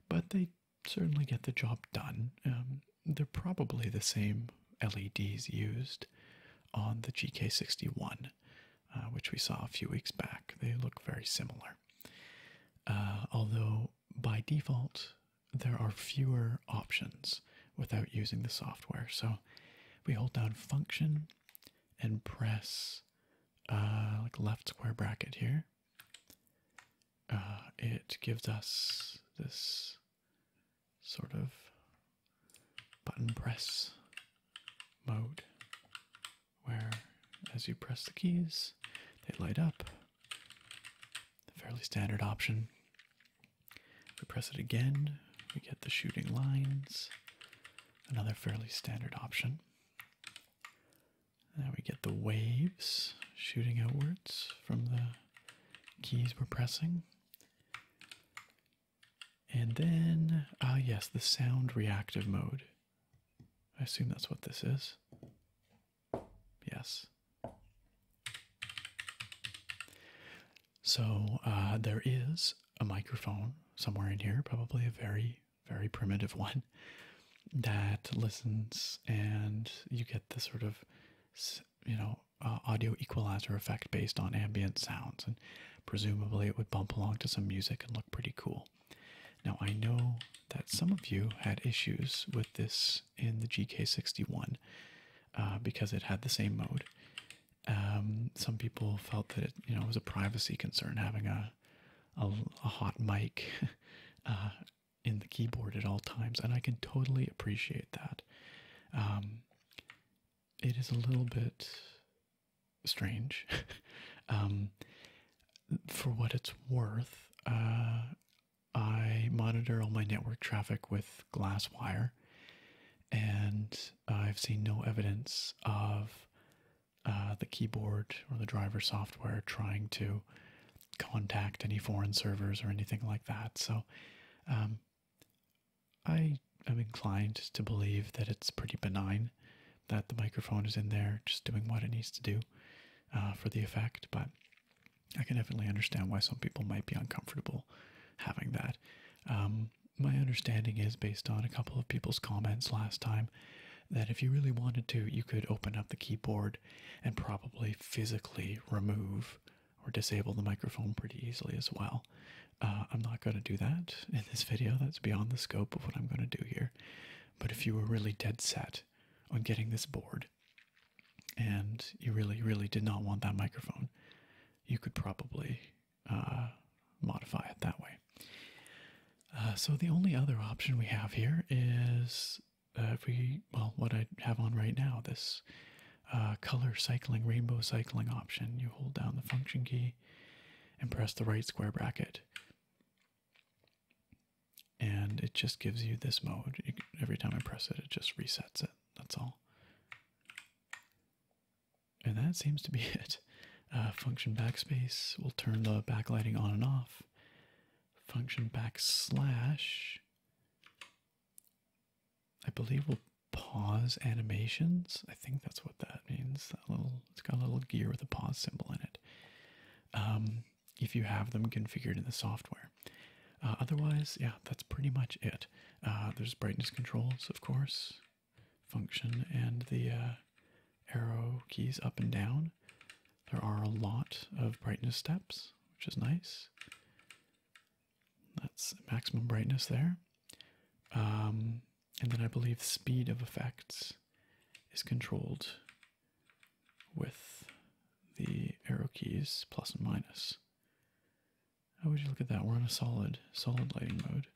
but they certainly get the job done. Um, they're probably the same LEDs used on the GK61, uh, which we saw a few weeks back. They look very similar. Uh, although by default, there are fewer options without using the software. So we hold down function and press uh, like left square bracket here, uh, it gives us this sort of button press mode where as you press the keys, they light up. A fairly standard option. We press it again, we get the shooting lines. Another fairly standard option. Now we get the waves shooting outwards from the keys we're pressing. And then, ah, yes, the sound reactive mode. I assume that's what this is. Yes. So uh, there is a microphone somewhere in here, probably a very very primitive [laughs] one that listens, and you get the sort of, you know, uh, audio equalizer effect based on ambient sounds, and presumably it would bump along to some music and look pretty cool. Now I know that some of you had issues with this in the GK61 uh, because it had the same mode. Um, some people felt that it, you know, was a privacy concern having a a, hot mic [laughs] uh, in the keyboard at all times, and I can totally appreciate that. Um, it is a little bit strange. [laughs] Um, for what it's worth, uh, I monitor all my network traffic with Glasswire, and I've seen no evidence of uh, the keyboard or the driver software trying to contact any foreign servers or anything like that. So um, I am inclined to believe that it's pretty benign that the microphone is in there just doing what it needs to do uh, for the effect, but I can definitely understand why some people might be uncomfortable having that. Um, my understanding is based on a couple of people's comments last time that if you really wanted to, you could open up the keyboard and probably physically remove or disable the microphone pretty easily as well. Uh, I'm not going to do that in this video, that's beyond the scope of what I'm going to do here. But if you were really dead set on getting this board and you really, really did not want that microphone, you could probably uh, modify it that way. Uh, so the only other option we have here is uh, if we, well, what I have on right now, this uh, color cycling, rainbow cycling option. You hold down the function key and press the right square bracket. And it just gives you this mode. every time I press it, it just resets it. That's all. And that seems to be [laughs] it. Uh, function backspace will turn the backlighting on and off. Function backslash, I believe, will pause animations. I think that's what that means. That little, it's got a little gear with a pause symbol in it. Um, if you have them configured in the software. Uh, otherwise, yeah, that's pretty much it. Uh, there's brightness controls, of course, function, and the arrow keys up and down. There are a lot of brightness steps, which is nice. That's maximum brightness there. Um, and then I believe speed of effects is controlled with the arrow keys plus and minus. How would you look at that? We're in a solid, solid lighting mode.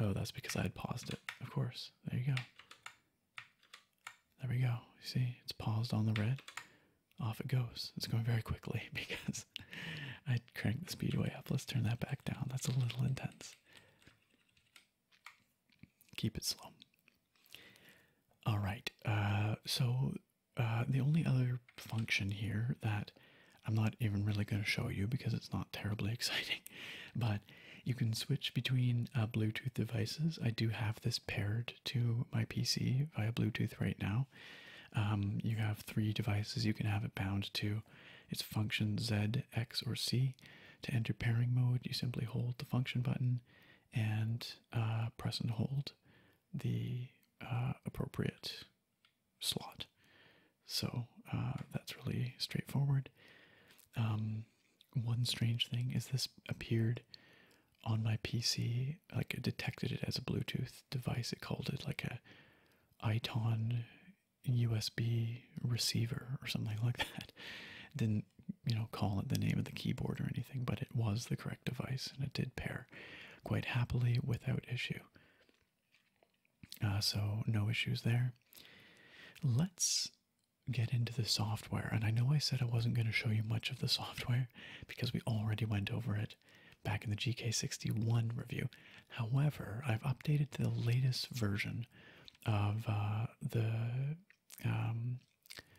Oh, that's because I had paused it. Of course. There you go. There we go. see, it's paused on the red. Off it goes. It's going very quickly [laughs] because I crank the speedway up. Let's turn that back down. That's a little intense. Keep it slow. All right. Uh, so uh, the only other function here that I'm not even really going to show you because it's not terribly [laughs] exciting, but you can switch between uh, Bluetooth devices. I do have this paired to my PC via Bluetooth right now. Um, you have three devices you can have it bound to. It's function Z, X, or C. To enter pairing mode, you simply hold the function button and uh, press and hold the uh, appropriate slot. So uh, that's really straightforward. Um, one strange thing is this appeared on my PC, like detected it as a Bluetooth device. It called it like a Iton USB receiver or something like that. didn't you know call it the name of the keyboard or anything, but it was the correct device and it did pair quite happily without issue. Uh, so, no issues there. Let's get into the software. And I know I said I wasn't going to show you much of the software because we already went over it back in the GK61 review. However, I've updated to the latest version of uh, the um,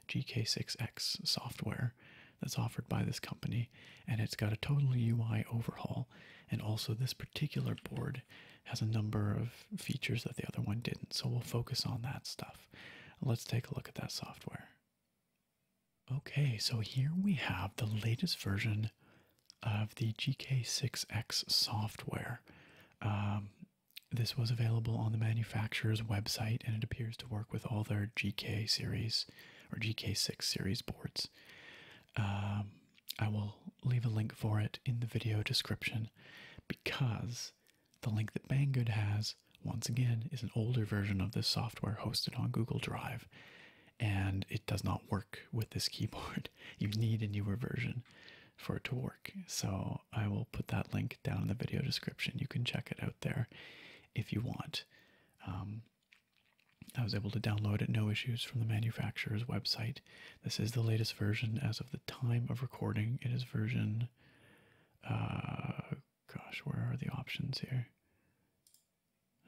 GK6X software that's offered by this company, and it's got a total UI overhaul. And also, this particular board has a number of features that the other one didn't. So we'll focus on that stuff. Let's take a look at that software. Okay, so here we have the latest version of the GK6X software. Um, this was available on the manufacturer's website and it appears to work with all their GK series or GK6 series boards. Um, I will leave a link for it in the video description because the link that Banggood has, once again, is an older version of this software hosted on Google Drive and it does not work with this keyboard. [laughs] You need a newer version for it to work. So I will put that link down in the video description. You can check it out there if you want. Um, I was able to download it no issues from the manufacturer's website this is the latest version as of the time of recording. It is version. Uh, gosh, where are the options here?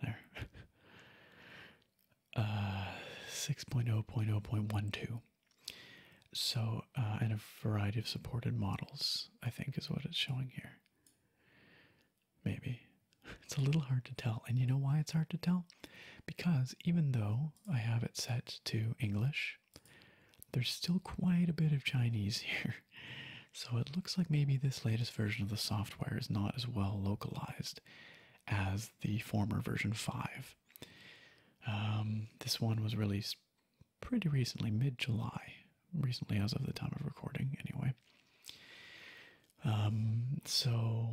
There. [laughs] Uh, 6.0.0.12. So, uh, and a variety of supported models, I think, is what it's showing here. Maybe. [laughs] It's a little hard to tell. And you know why it's hard to tell? Because even though I have it set to English, there's still quite a bit of Chinese [laughs] here. So it looks like maybe this latest version of the software is not as well localized as the former version 5. Um, this one was released pretty recently, mid July, recently as of the time of recording, anyway. Um, so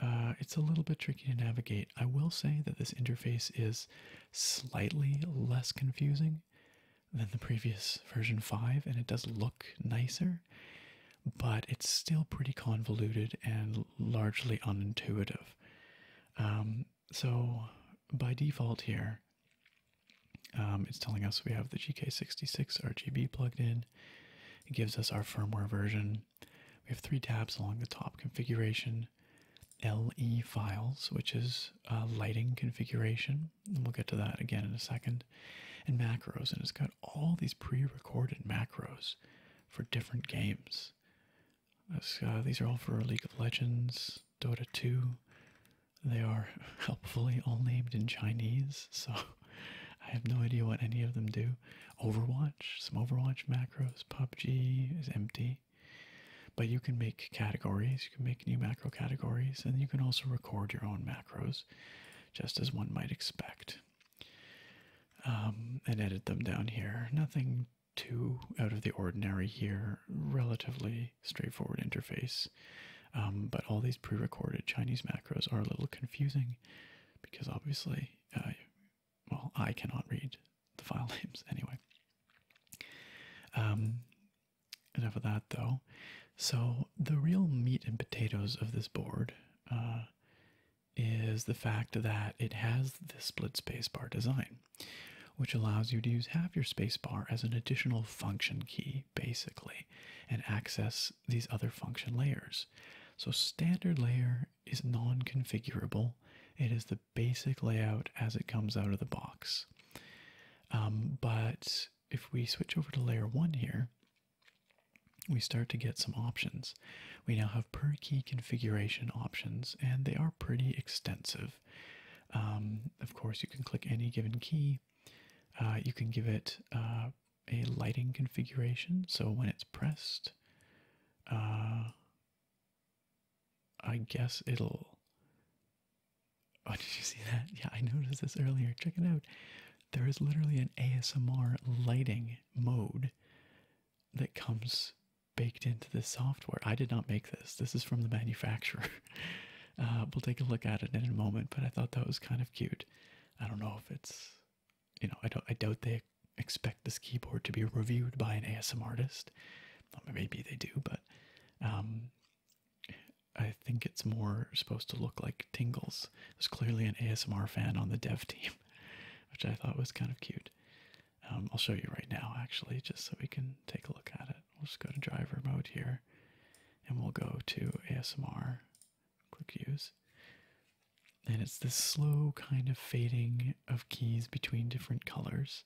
uh, it's a little bit tricky to navigate. I will say that this interface is slightly less confusing than the previous version 5, and it does look nicer, but it's still pretty convoluted and largely unintuitive. Um, so, by default, here, um, it's telling us we have the GK66 RGB plugged in. It gives us our firmware version we have three tabs along the top configuration LE files, which is uh, lighting configuration, and we'll get to that again in a second, and macros. And it's got all these pre recorded macros for different games. Uh, these are all for League of Legends, Dota 2. They are [laughs] helpfully all named in Chinese, so I have no idea what any of them do. Overwatch, some Overwatch macros, PUBG is empty. But you can make categories, you can make new macro categories, and you can also record your own macros, just as one might expect. Um, and edit them down here. Nothing too out of the ordinary here, relatively straightforward interface. Um, but all these pre recorded Chinese macros are a little confusing because obviously uh, well, I cannot read the file [laughs] names anyway. Um, enough of that though. So, the real meat and potatoes of this board uh, is the fact that it has the split space bar design, which allows you to use half your space bar as an additional function key, basically, and access these other function layers. So, standard layer is non configurable, it is the basic layout as it comes out of the box. Um, but if we switch over to layer one here, we start to get some options. We now have per key configuration options, and they are pretty extensive. Um, of course, you can click any given key. Uh, you can give it uh, a lighting configuration, so when it's pressed, uh, I guess it'll. Oh, [laughs] did you see that? Yeah, I noticed this earlier. Check it out. There is literally an ASMR lighting mode that comes baked into this software. I did not make this, this is from the manufacturer. [laughs] Uh, we'll take a look at it in a moment, but I thought that was kind of cute. I don't know if it's you know, I don't I doubt they expect this keyboard to be reviewed by an ASMR artist. maybe they do, but um, I think it's more supposed to look like tingles. There's clearly an ASMR fan on the dev team, [laughs] which I thought was kind of cute. Um, I'll show you right now, actually, just so we can take a look at it. We'll just go to driver mode here, and we'll go to ASMR. Click use. And it's this slow kind of fading of keys between different colors,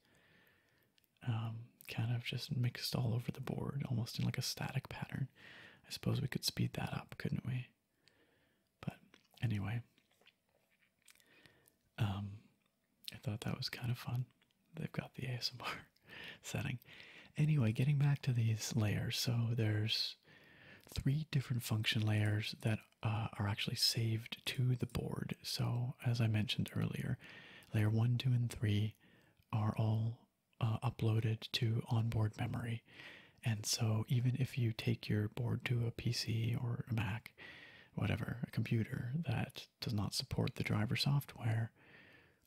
um, kind of just mixed all over the board, almost in like a static pattern. I suppose we could speed that up, couldn't we? But anyway, um, I thought that was kind of fun. They've got the ASMR [laughs] setting. Anyway, getting back to these layers, so there's three different function layers that uh, are actually saved to the board. So, as I mentioned earlier, layer 1, 2, and 3 are all uh, uploaded to onboard memory. And so, even if you take your board to a PC or a Mac, whatever, a computer that does not support the driver software,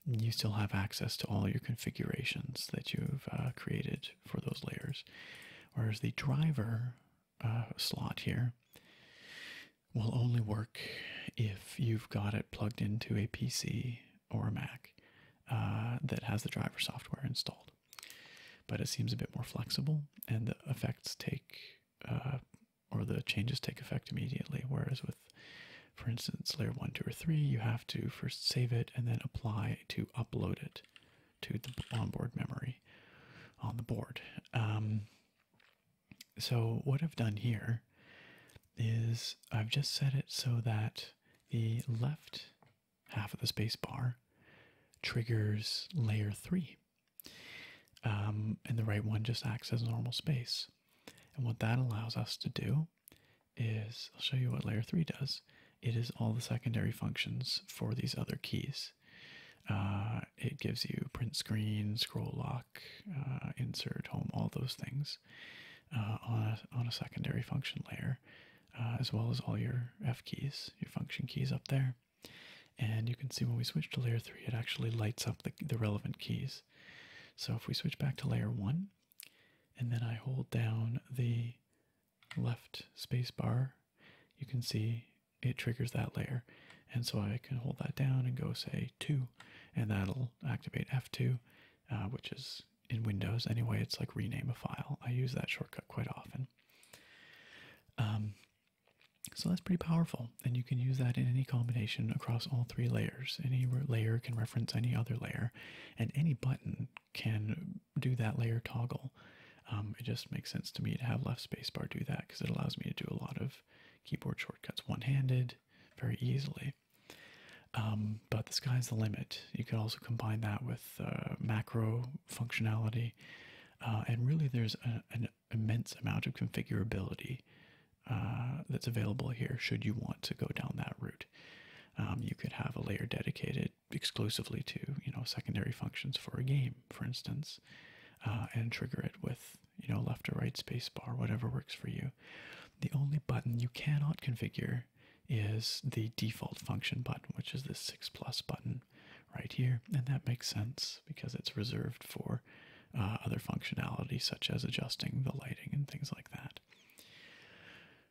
you still have access to all your configurations that you've uh, created for those layers. Whereas the driver uh, slot here will only work if you've got it plugged into a PC or a Mac uh, that has the driver software installed. But it seems a bit more flexible, and the effects take, uh, or the changes take effect immediately. Whereas with, for instance, layer one, two, or three, you have to first save it and then apply to upload it to the onboard memory on the board. Um, so what I've done here is I've just set it so that the left half of the space bar triggers layer 3 um, and the right one just acts as normal space. And what that allows us to do is, I'll show you what layer 3 does it is all the secondary functions for these other keys. Uh, it gives you print screen, scroll lock, uh, insert, home, all those things uh, on, a, on a secondary function layer, as well as all your F keys, your function keys up there. And you can see when we switch to layer 3, it actually lights up the, the relevant keys. So if we switch back to layer 1, and then I hold down the left space bar, you can see it triggers that layer. And so I can hold that down and go say 2, and that'll activate F2, uh, which is in Windows anyway, it's like rename a file. I use that shortcut quite often. Um, so that's pretty powerful, and you can use that in any combination across all three layers. Any layer can reference any other layer, and any button can do that layer toggle. Um, it just makes sense to me to have left spacebar do that because it allows me to do a lot of keyboard shortcuts one-handed very easily. Um, but the sky's the limit. You could also combine that with uh, macro functionality. Uh, and really, there's an immense amount of configurability uh, that's available here should you want to go down that route. Um, you could have a layer dedicated exclusively to you know secondary functions for a game, for instance, uh, and trigger it with you know left or right spacebar, whatever works for you. The only button you cannot configure is the default function button, which is the six plus button right here, and that makes sense because it's reserved for uh, other functionality such as adjusting the lighting and things like that.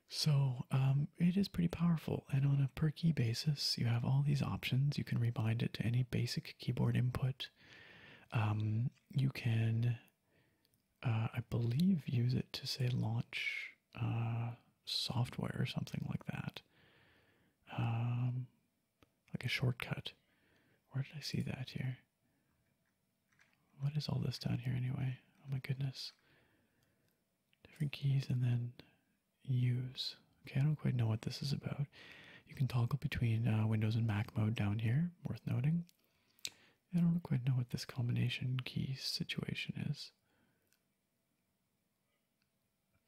So um, it is pretty powerful. And on a per key basis, you have all these options. You can rebind it to any basic keyboard input. Um, you can, uh, I believe, use it to say launch uh, software or something like that, um, like a shortcut. Where did I see that here? What is all this down here anyway? Oh my goodness. Different keys and then use. Okay, I don't quite know what this is about. You can toggle between uh, Windows and Mac mode down here, worth noting. I don't quite know what this combination key situation is.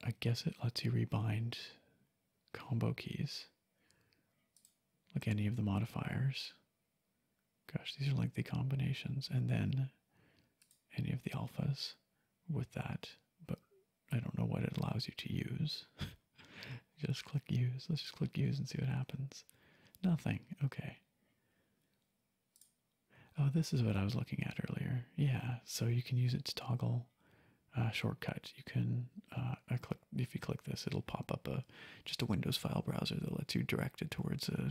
I guess it lets you rebind combo keys, like any of the modifiers. Gosh, these are lengthy combinations, and then any of the alphas with that, but I don't know what it allows you to use. [laughs] just click use. Let's just click use and see what happens. Nothing. Okay. Oh, this is what I was looking at earlier. Yeah, so you can use it to toggle uh, shortcut. You can uh, click if you click this, it'll pop up a just a Windows file browser that lets you direct it towards a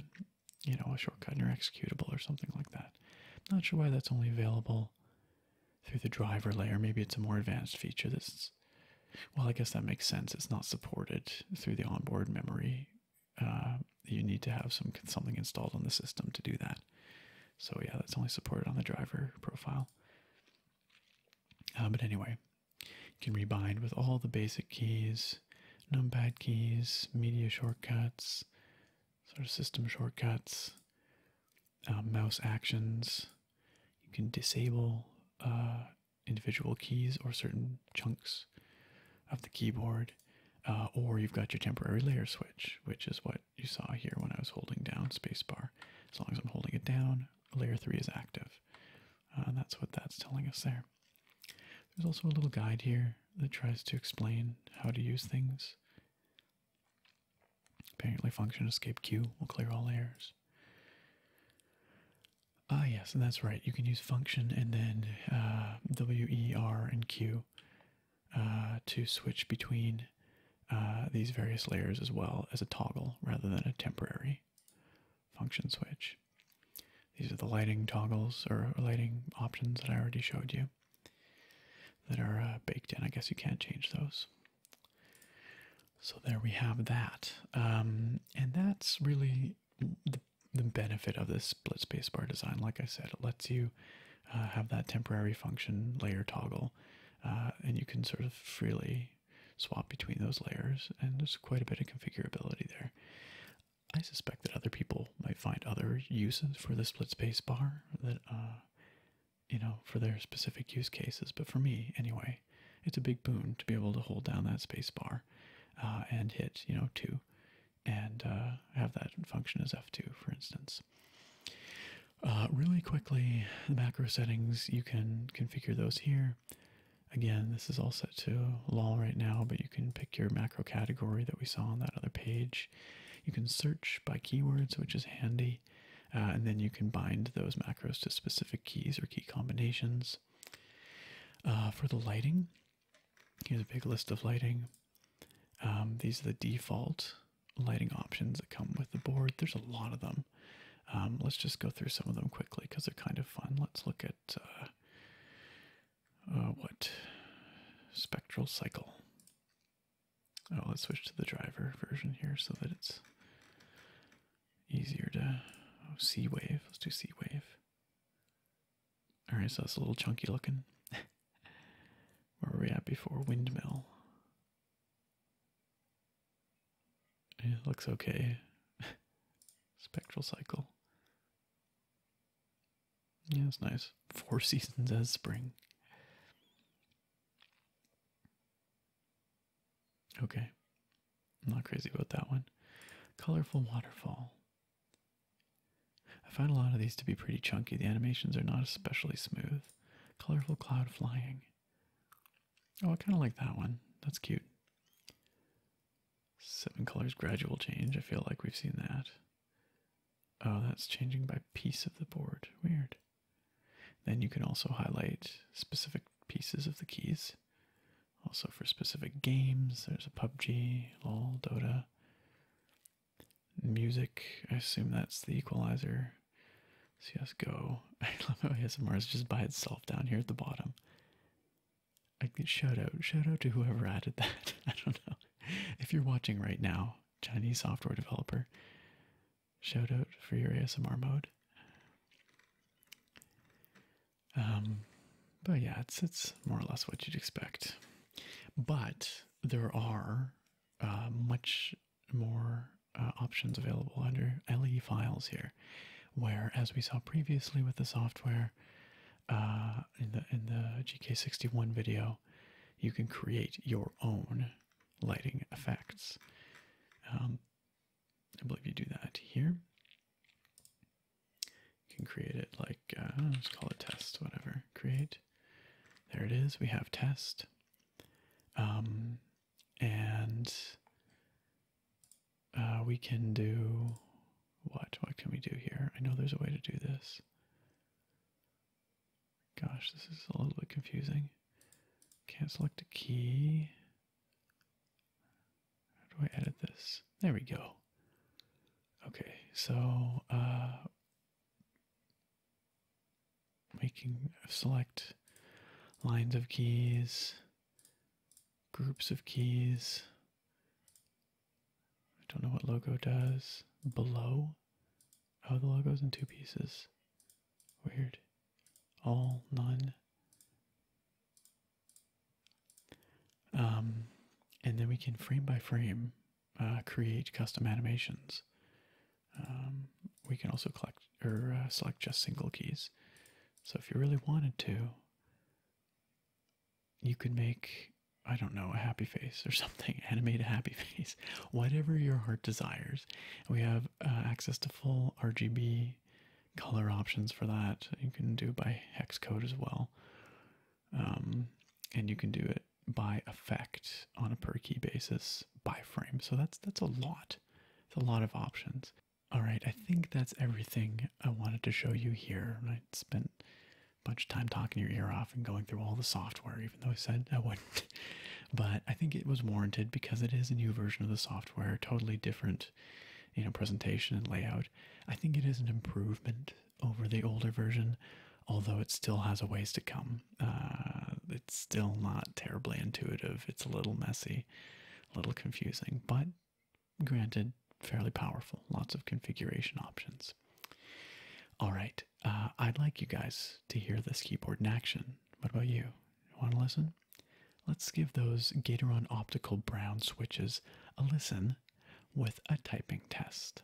you know a shortcut in your executable or something like that not sure why that's only available through the driver layer. Maybe it's a more advanced feature that's. Well, I guess that makes sense. It's not supported through the onboard memory. Uh, you need to have some something installed on the system to do that. So yeah, that's only supported on the driver profile. Uh, but anyway, you can rebind with all the basic keys, num pad keys, media shortcuts, sort of system shortcuts, uh, mouse actions. You can disable uh, individual keys or certain chunks of the keyboard, uh, or you've got your temporary layer switch, which is what you saw here when I was holding down spacebar. As long as I'm holding it down, layer 3 is active. that's what that's telling us there. There's also a little guide here that tries to explain how to use things. Apparently function escape Q will clear all layers. Ah, yes, and that's right. You can use function and then uh, W, E, R, and Q uh, to switch between uh, these various layers as well as a toggle rather than a temporary function switch. These are the lighting toggles or lighting options that I already showed you that are uh, baked in. I guess you can't change those. So there we have that. Um, and that's really the, benefit of this split space bar design. Like I said, it lets you uh, have that temporary function layer toggle, uh, and you can sort of freely swap between those layers, and there's quite a bit of configurability there. I suspect that other people might find other uses for the split space bar that you know, for their specific use cases. But for me, anyway, it's a big boon to be able to hold down that space bar uh, and hit, you know, two and uh, have that function as F2, for instance. Uh, really quickly, the macro settings, you can configure those here. Again, this is all set to LOL right now, but you can pick your macro category that we saw on that other page. You can search by keywords, which is handy, uh, and then you can bind those macros to specific keys or key combinations. Uh, for the lighting, here's a big list of lighting. Um, these are the default lighting options that come with the board. There's a lot of them. Um, let's just go through some of them quickly because they're kind of fun. Let's look at uh, what spectral cycle. Oh, let's switch to the driver version here so that it's easier to oh, C wave. Let's do C wave. All right, so that's a little chunky looking. [laughs] Where were we at before? Windmill. It looks okay. [laughs] Spectral cycle. Yeah, it's nice. Four [laughs] seasons as spring. Okay. I'm not crazy about that one. Colorful waterfall. I find a lot of these to be pretty chunky. The animations are not especially smooth. Colorful cloud flying. Oh, I kind of like that one. That's cute. Seven colors gradual change. I feel like we've seen that. Oh, that's changing by piece of the board. Weird. Then you can also highlight specific pieces of the keys. Also for specific games, there's a PUBG, LOL, Dota. Music, I assume that's the equalizer. CSGO. [laughs] I love how ASMR is just by itself down here at the bottom. I shout out, shout out to whoever added that. [laughs] I don't know. If you're watching right now, Chinese software developer. Shout out for your ASMR mode. Um, but yeah, it's it's more or less what you'd expect. But there are uh, much more uh, options available under LE files here, where as we saw previously with the software uh, in the in the GK61 video, you can create your own lighting effects. Um, I believe you do that here. You can create it like, uh, let's call it test, whatever. Create. There it is. We have test. Um, and uh, we can do what? What can we do here? I know there's a way to do this. Gosh, this is a little bit confusing. Can't select a key. How do I edit this? There we go. Okay, so uh, making select lines of keys, groups of keys. I don't know what logo does. Below. Oh, the logo's in two pieces. Weird. All, none. Um, and then we can frame by frame uh, create custom animations. Um, we can also collect or uh, select just single keys. So if you really wanted to, you could make I don't know a happy face or [laughs] something something, [laughs] animate a happy face, whatever your heart desires. We have uh, access to full RGB color options for that. You can do by hex code as well. Um, and you can do it by effect on a per key basis by frame. So that's that's a lot. It's a lot of options. All right, I think that's everything I wanted to show you here. I spent a bunch of time talking your ear off and going through all the software, even though I said I wouldn't. [laughs] but I think it was warranted because it is a new version of the software, totally different, you know, presentation and layout. I think it is an improvement over the older version, although it still has a ways to come. Uh, it's still not terribly intuitive. It's a little messy, a little confusing, but granted, fairly powerful. Lots of configuration options. All right, uh, I'd like you guys to hear this keyboard in action. What about You want to listen? Let's give those Gatoron Optical Brown switches a listen with a typing test.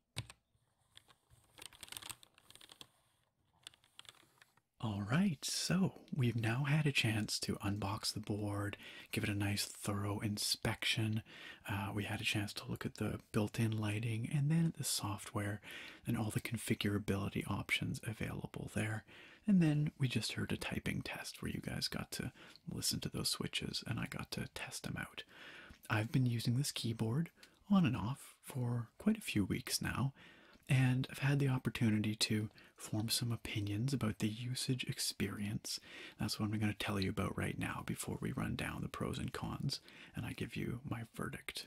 All right, so we've now had a chance to unbox the board, give it a nice thorough inspection. Uh, we had a chance to look at the built in lighting and then the software and all the configurability options available there. And then we just heard a typing test where you guys got to listen to those switches and I got to test them out. I've been using this keyboard on and off for quite a few weeks now, and I've had the opportunity to form some opinions about the usage experience. That's what I'm going to tell you about right now before we run down the pros and cons and I give you my verdict.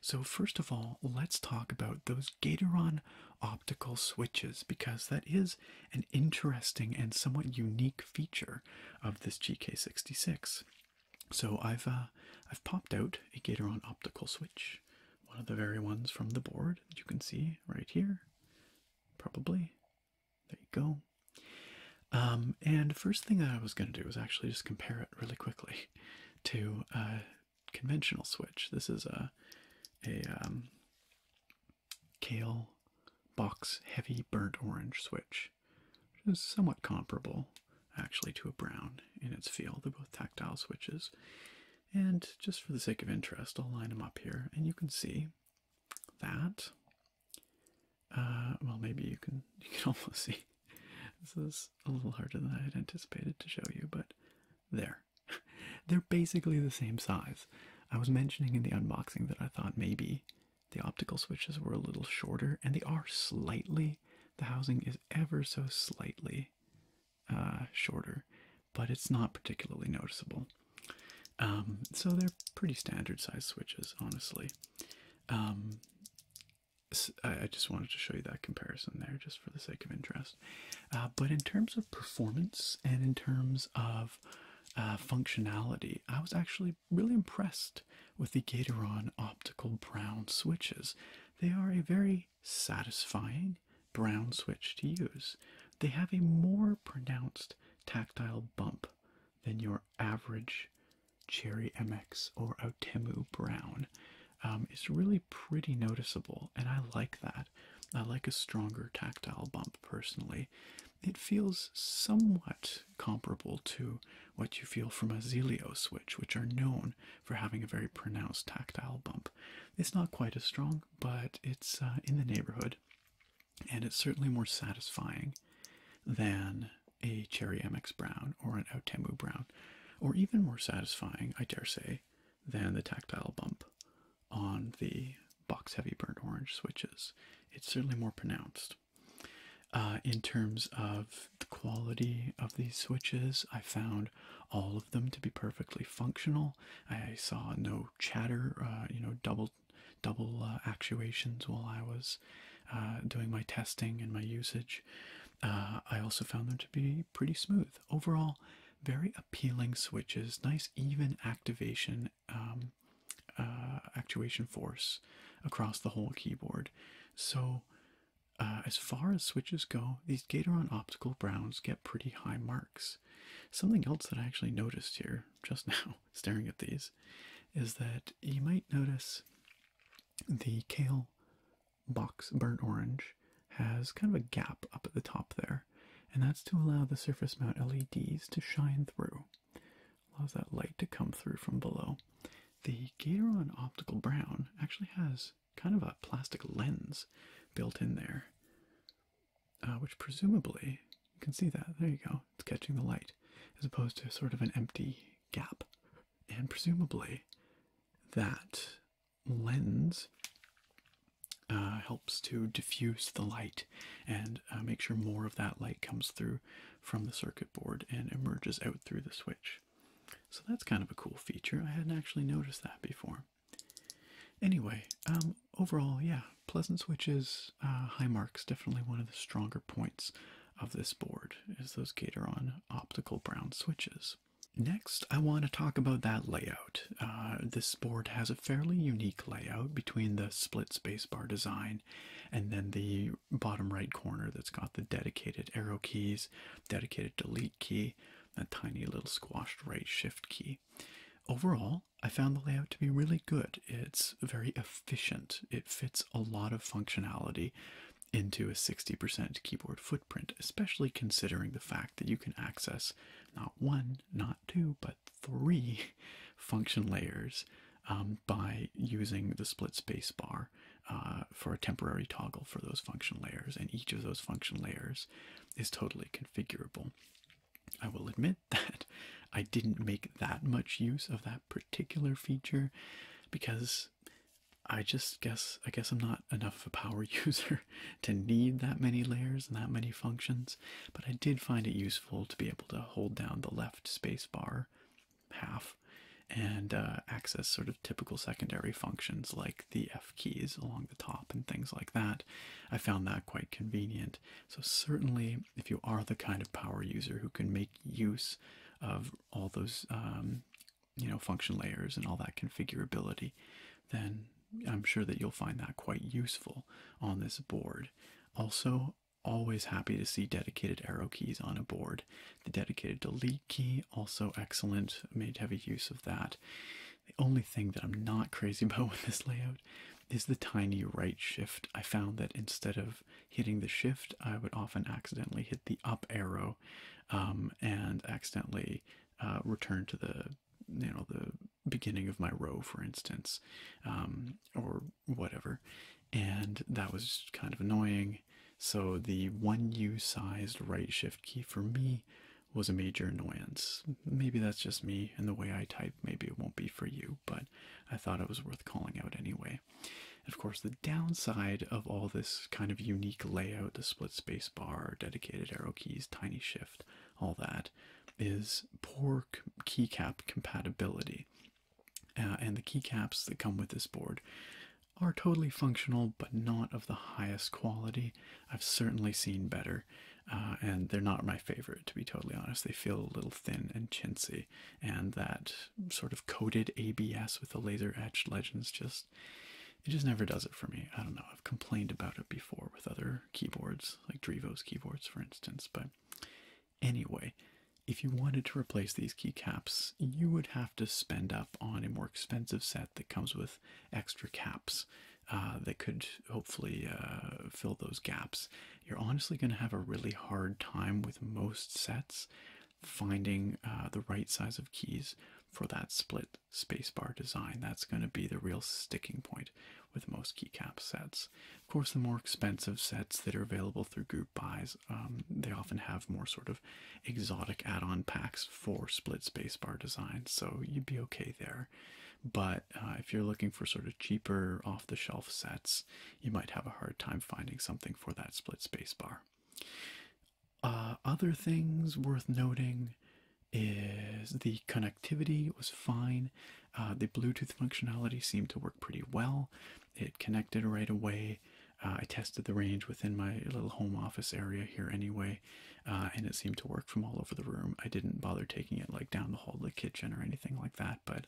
So, first of all, let's talk about those Gatoron optical switches because that is an interesting and somewhat unique feature of this GK66. So I've uh, I've popped out a Gateron optical switch, one of the very ones from the board that you can see right here, probably. There you go. Um, and first thing that I was going to do was actually just compare it really quickly [laughs] to a conventional switch. This is a a um, kale box heavy burnt orange switch which is somewhat comparable actually to a brown in its feel. They're both tactile switches. And just for the sake of interest, I'll line them up here, and you can see that. Uh, well, maybe you can [laughs] you can almost see. This is a little harder than I had anticipated to show you, but there. [laughs] They're basically the same size. I was mentioning in the unboxing that I thought maybe the optical switches were a little shorter, and they are slightly, the housing is ever so slightly uh, shorter, but it's not particularly noticeable. Um, so they're pretty standard size switches, honestly. Um, I just wanted to show you that comparison there, just for the sake of interest. Uh, but in terms of performance and in terms of uh, functionality, I was actually really impressed with the Gateron optical brown switches. They are a very satisfying brown switch to use. They have a more pronounced tactile bump than your average Cherry MX or Outemu brown. Um, it's really pretty noticeable, and I like that. I like a stronger tactile bump personally. It feels somewhat comparable to what you feel from a Zelio switch, which are known for having a very pronounced tactile bump. It's not quite as strong, but it's uh, in the neighborhood, and it's certainly more satisfying than a Cherry MX Brown or an Outemu Brown, or even more satisfying, I dare say, than the tactile bump on the box heavy burnt orange switches. It's certainly more pronounced. Uh, in terms of the quality of these switches, I found all of them to be perfectly functional. I saw no chatter, uh, you know, double double uh, actuations while I was doing my testing and my usage. I also found them to be pretty smooth overall. Very appealing switches, nice even activation, um, actuation force across the whole keyboard. So, uh, as far as switches go, these Gatoron optical browns get pretty high marks. Something else that I actually noticed here just [laughs] now, staring at these, is that you might notice the kale box burnt orange has kind of a gap up at the top there, and that's to allow the surface mount LEDs to shine through. Allows that light to come through from below. The Gatoron Optical Brown actually has kind of a plastic lens built in there, uh, which presumably you can see that. There you go, it's catching the light as opposed to sort of an empty gap. And presumably that lens uh, helps to diffuse the light and uh, make sure more of that light comes through from the circuit board and emerges out through the switch. So that's kind of a cool feature. I hadn't actually noticed that before. Anyway, um, overall, yeah, pleasant switches, uh, high marks, definitely one of the stronger points of this board is those Gateron optical brown switches. Next, I want to talk about that layout. Uh, this board has a fairly unique layout between the split spacebar design and then the bottom right corner that's got the dedicated arrow keys, dedicated delete key, that tiny little squashed right shift key. Overall, I found the layout to be really good. It's very efficient. It fits a lot of functionality into a 60% keyboard footprint, especially considering the fact that you can access not one, not two, but three [laughs] function layers um, by using the split space bar uh, for a temporary toggle for those function layers, and each of those function layers is totally configurable. I will admit [laughs] that I didn't make that much use of that particular feature because I just guess I guess I'm not enough of a power [laughs] user to need that many layers and that many functions, but I did find it useful to be able to hold down the left space bar half and uh, access sort of typical secondary functions like the F keys along the top and things like that. I found that quite convenient. So, certainly, if you are the kind of power user who can make use of all those, um, you know, function layers and all that configurability, then I'm sure that you'll find that quite useful on this board. Also, always happy to see dedicated arrow keys on a board the dedicated delete key, also excellent, made heavy use of that. The only thing that I'm not crazy [laughs] about with this layout is the tiny right shift. I found that instead of hitting the shift, I would often accidentally hit the up arrow um, and accidentally uh, return to the you know the beginning of my row, for instance, um, or whatever. And that was kind of annoying. So the 1U sized right shift key for me was a major annoyance. Maybe that's just me and the way I type, maybe it won't be for you, but I thought it was worth calling out anyway. of course, the downside of all this kind of unique layout, the split space bar, dedicated arrow keys, tiny shift, all that, is poor keycap compatibility. Uh, and the keycaps that come with this board are totally functional but not of the highest quality. I've certainly seen better, uh, and they're not my favorite to be totally honest. They feel a little thin and chintzy, and that sort of coated ABS with the laser etched legends just it just never does it for me. I don't know. I've complained about it before with other keyboards, like Drivo's keyboards, for instance, but anyway, if you wanted to replace these keycaps, you would have to spend up on a more expensive set that comes with extra caps uh, that could hopefully uh, fill those gaps. You're honestly going to have a really hard time with most sets finding uh, the right size of keys for that split spacebar design. That's going to be the real sticking point with most keycap sets. Of course, the more expensive sets that are available through Google buys, um, they often have more sort of exotic add-on packs for split spacebar designs, so you'd be okay there. But uh, if you're looking for sort of cheaper off-the-shelf sets, you might have a hard time finding something for that split spacebar. Uh, other things worth noting is the connectivity was fine. Uh, the Bluetooth functionality seemed to work pretty well. It connected right away. Uh, I tested the range within my little home office area here anyway, uh, and it seemed to work from all over the room. I didn't bother taking it like down the hall to the kitchen or anything like that, but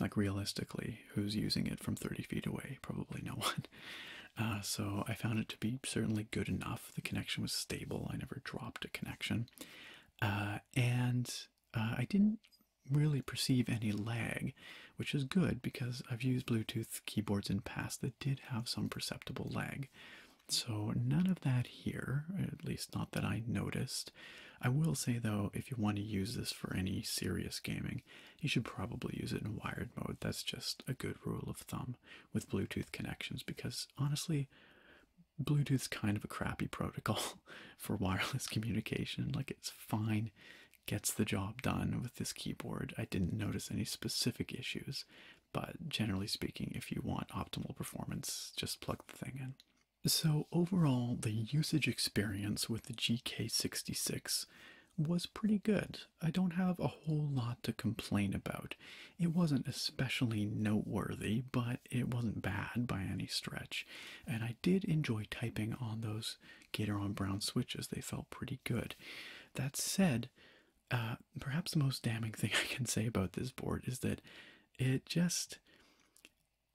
like realistically, who's using it from 30 feet away? Probably no [laughs] one. Uh, so I found it to be certainly good enough. The connection was stable. I never dropped a connection. and I didn't really perceive any lag, which is good because I've used Bluetooth keyboards in past that did have some perceptible lag. So none of that here, at least not that I noticed. I will say though, if you want to use this for any serious gaming, you should probably use it in wired mode. That's just a good rule of thumb with Bluetooth connections because honestly, Bluetooth's kind of a crappy protocol [laughs] for wireless communication. Like it's fine gets the job done with this keyboard. I didn't notice any specific issues, but generally speaking, if you want optimal performance, just plug the thing in. So, overall, the usage experience with the GK66 was pretty good. I don't have a whole lot to complain about. It wasn't especially noteworthy, but it wasn't bad by any stretch. And I did enjoy typing on those Gator Brown switches. They felt pretty good. That said, uh, perhaps the most damning thing [laughs] I can say about this board is that it just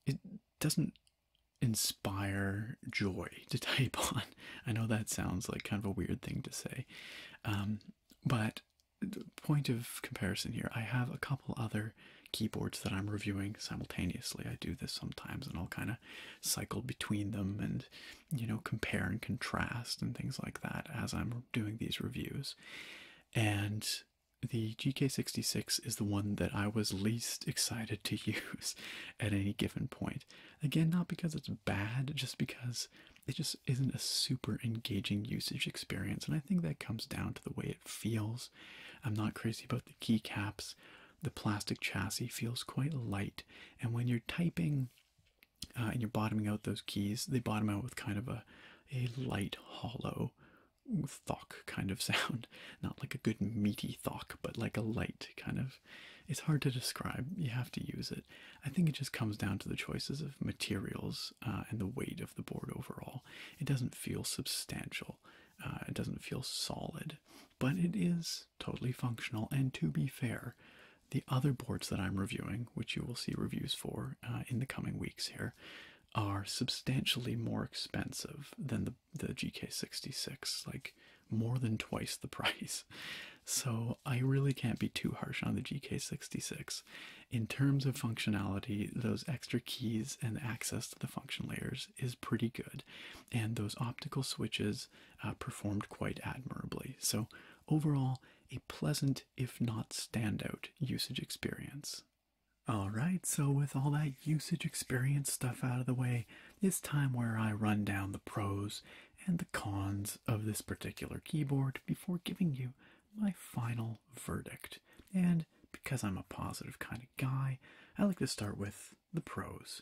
it doesn't inspire joy [laughs] to type on. I know that sounds like kind of a weird thing to say, um, but the point of comparison here, I have a couple other keyboards that I'm reviewing simultaneously. I do this sometimes, and I'll kind of cycle between them and you know compare and contrast and things like that as I'm doing these reviews. And the GK66 is the one that I was least excited to [laughs] use at any given point. Again, not because it's bad, just because it just isn't a super engaging usage experience. And I think that comes down to the way it feels. I'm not crazy about the keycaps the plastic chassis feels quite light. And when you're typing uh, and you're bottoming out those keys, they bottom out with kind of a, a light, hollow thock kind of [laughs] sound. Not like a good meaty thock, but like a light kind of. It's hard to describe. You have to use it. I think it just comes down to the choices of materials uh, and the weight of the board overall. It doesn't feel substantial. Uh, it doesn't feel solid, but it is totally functional. And to be fair, the other boards that I'm reviewing, which you will see reviews for uh, in the coming weeks here, are substantially more expensive than the the GK66, like more than twice the [laughs] price. So I really can't be too harsh on the GK66. In terms of functionality, those extra keys and access to the function layers is pretty good. And those optical switches uh, performed quite admirably. So, overall, a pleasant, if not standout, usage experience. Alright, so with all that usage experience stuff out of the way, it's time where I run down the pros and the cons of this particular keyboard before giving you my final verdict. And because I'm a positive kind of guy, I like to start with the pros.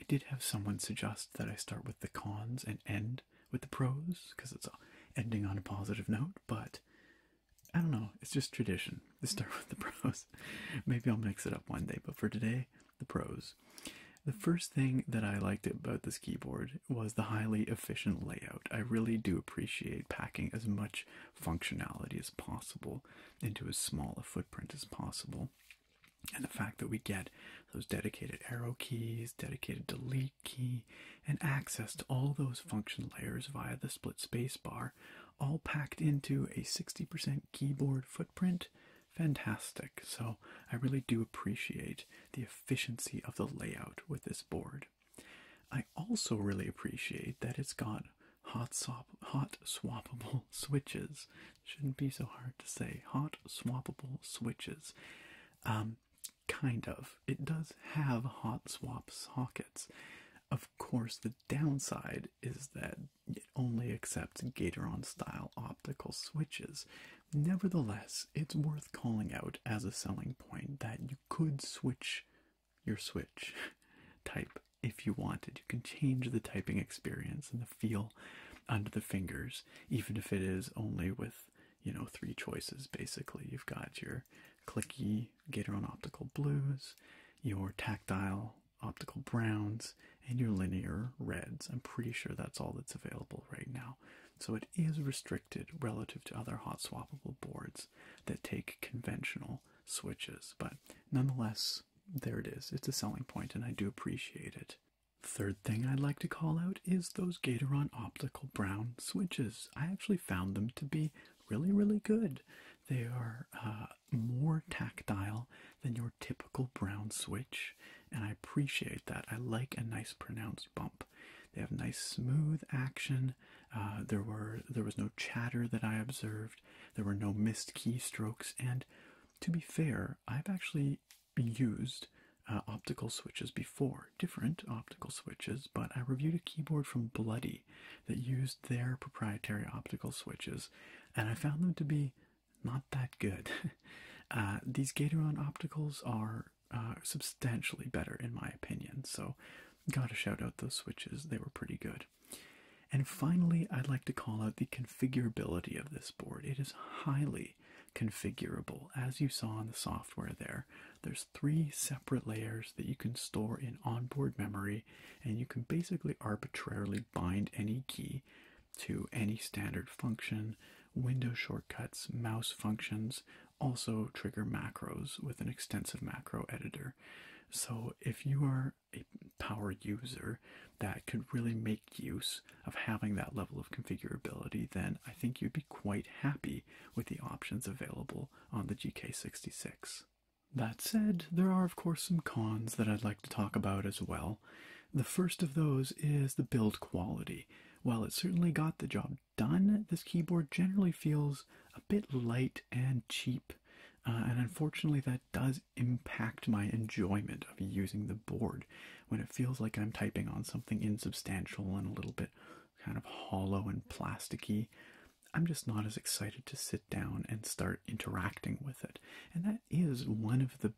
I did have someone suggest that I start with the cons and end with the pros because it's ending on a positive note, but I don't know, it's just tradition to start [laughs] with the pros. Maybe I'll mix it up one day, but for today, the pros. The first thing that I liked about this keyboard was the highly efficient layout. I really do appreciate packing as much functionality as possible into as small a footprint as possible and the fact that we get those dedicated arrow keys, dedicated delete key, and access to all those function layers via the split spacebar, all packed into a 60% keyboard footprint, fantastic. So I really do appreciate the efficiency of the layout with this board. I also really appreciate that it's got hot swap hot swappable [laughs] switches Shouldn't be so hard to say. Hot swappable switches. Um, kind of. It does have hot swap sockets. Of course, the downside is that it only accepts Gatoron style optical switches. Nevertheless, it's worth calling out as a selling point that you could switch your switch [laughs] type if you wanted you can change the typing experience and the feel under the fingers, even if it is only with, you know, three choices basically. You've got your clicky Gateron Optical Blues, your tactile optical browns, and your linear reds. I'm pretty sure that's all that's available right now. So it is restricted relative to other hot swappable boards that take conventional switches. But nonetheless, there it is. It's a selling point, and I do appreciate it. Third thing I'd like to call out is those Gatoron optical brown switches. I actually found them to be really, really good. They are uh, more tactile than your typical brown switch, and I appreciate that. I like a nice pronounced bump. They have nice smooth action. Uh, there were there was no chatter that I observed. There were no missed keystrokes, and to be fair, I've actually used uh, optical switches before, different optical switches, but I reviewed a keyboard from Bloody that used their proprietary optical switches, and I found them to be not that good. [laughs] Uh, these Gatoron opticals are uh, substantially better, in my opinion, so gotta shout out those switches, they were pretty good. And finally, I'd like to call out the configurability of this board. It is highly configurable. As you saw in the software there, there's three separate layers that you can store in onboard memory, and you can basically arbitrarily bind any key to any standard function, window shortcuts, mouse functions, also trigger macros with an extensive macro editor. So if you are a power user, that could really make use of having that level of configurability, then I think you'd be quite happy with the options available on the GK66. That said, there are of course some cons that I'd like to talk about as well. The first of those is the build quality. While it certainly got the job done, this keyboard generally feels a bit light and cheap, uh, and unfortunately that does impact my enjoyment of using the board when it feels like I'm typing on something insubstantial and a little bit kind of hollow and plasticky. I'm just not as excited to sit down and start interacting with it. And that is one of the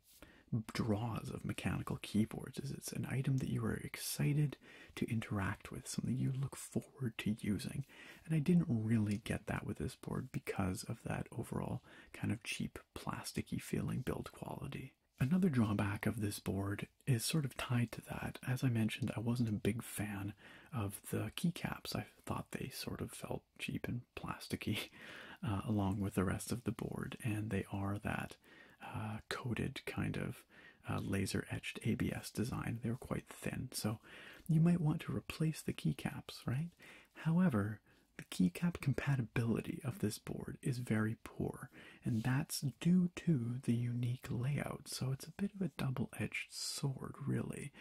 draws of mechanical keyboards is it's an item that you are excited to interact with, something you look forward to using. And I didn't really get that with this board because of that overall kind of cheap plasticky feeling build quality. Another drawback of this board is sort of tied to that. As I mentioned, I wasn't a big fan of the keycaps. I thought they sort of felt cheap and plasticky [laughs] uh, along with the rest of the board, and they are that uh, coated kind of uh, laser etched ABS design. They are quite thin, so you might want to replace the keycaps, right? However, the keycap compatibility of this board is very poor, and that's due to the unique layout, so it's a bit of a double edged sword, really.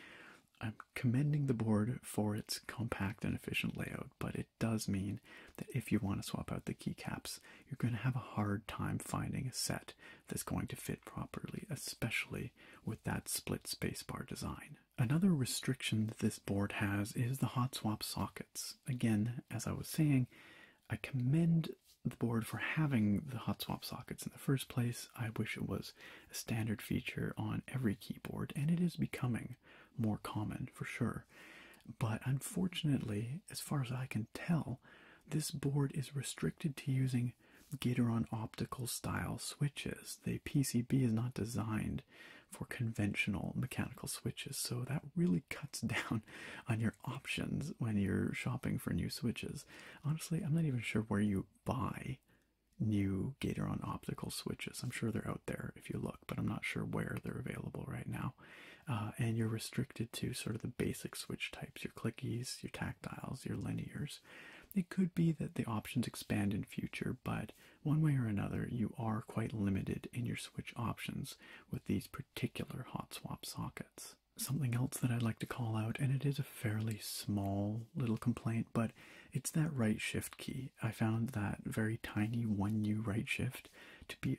I'm commending the board for its compact and efficient layout, but it does mean that if you want to swap out the keycaps, you're going to have a hard time finding a set that's going to fit properly, especially with that split spacebar design. Another restriction that this board has is the hot swap sockets. Again, as I was saying, I commend the board for having the hot swap sockets in the first place. I wish it was a standard feature on every keyboard, and it is becoming more common for sure. But unfortunately, as far as I can tell, this board is restricted to using Gateron optical style switches. The PCB is not designed for conventional mechanical switches. So that really cuts [laughs] down on your options when you're shopping for new switches. Honestly, I'm not even sure where you buy new Gatoron optical switches. I'm sure they're out there if you look, but I'm not sure where they're available right now. Uh, and you're restricted to sort of the basic switch types your clickies, your tactiles, your linears. It could be that the options expand in future, but one way or another, you are quite limited in your switch options with these particular hot swap sockets. Something else that I'd like to call out, and it is a fairly small little complaint, but it's that right shift key. I found that very tiny 1U right shift to be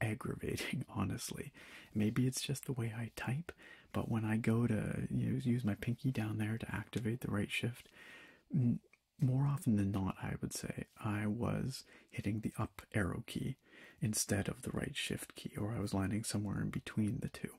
aggravating, [laughs] honestly. Maybe it's just the way I type, but when I go to use my pinky down there to activate the right shift, mm, more often than not, I would say, I was hitting the up arrow key instead of the right shift key, or I was landing somewhere in between the two.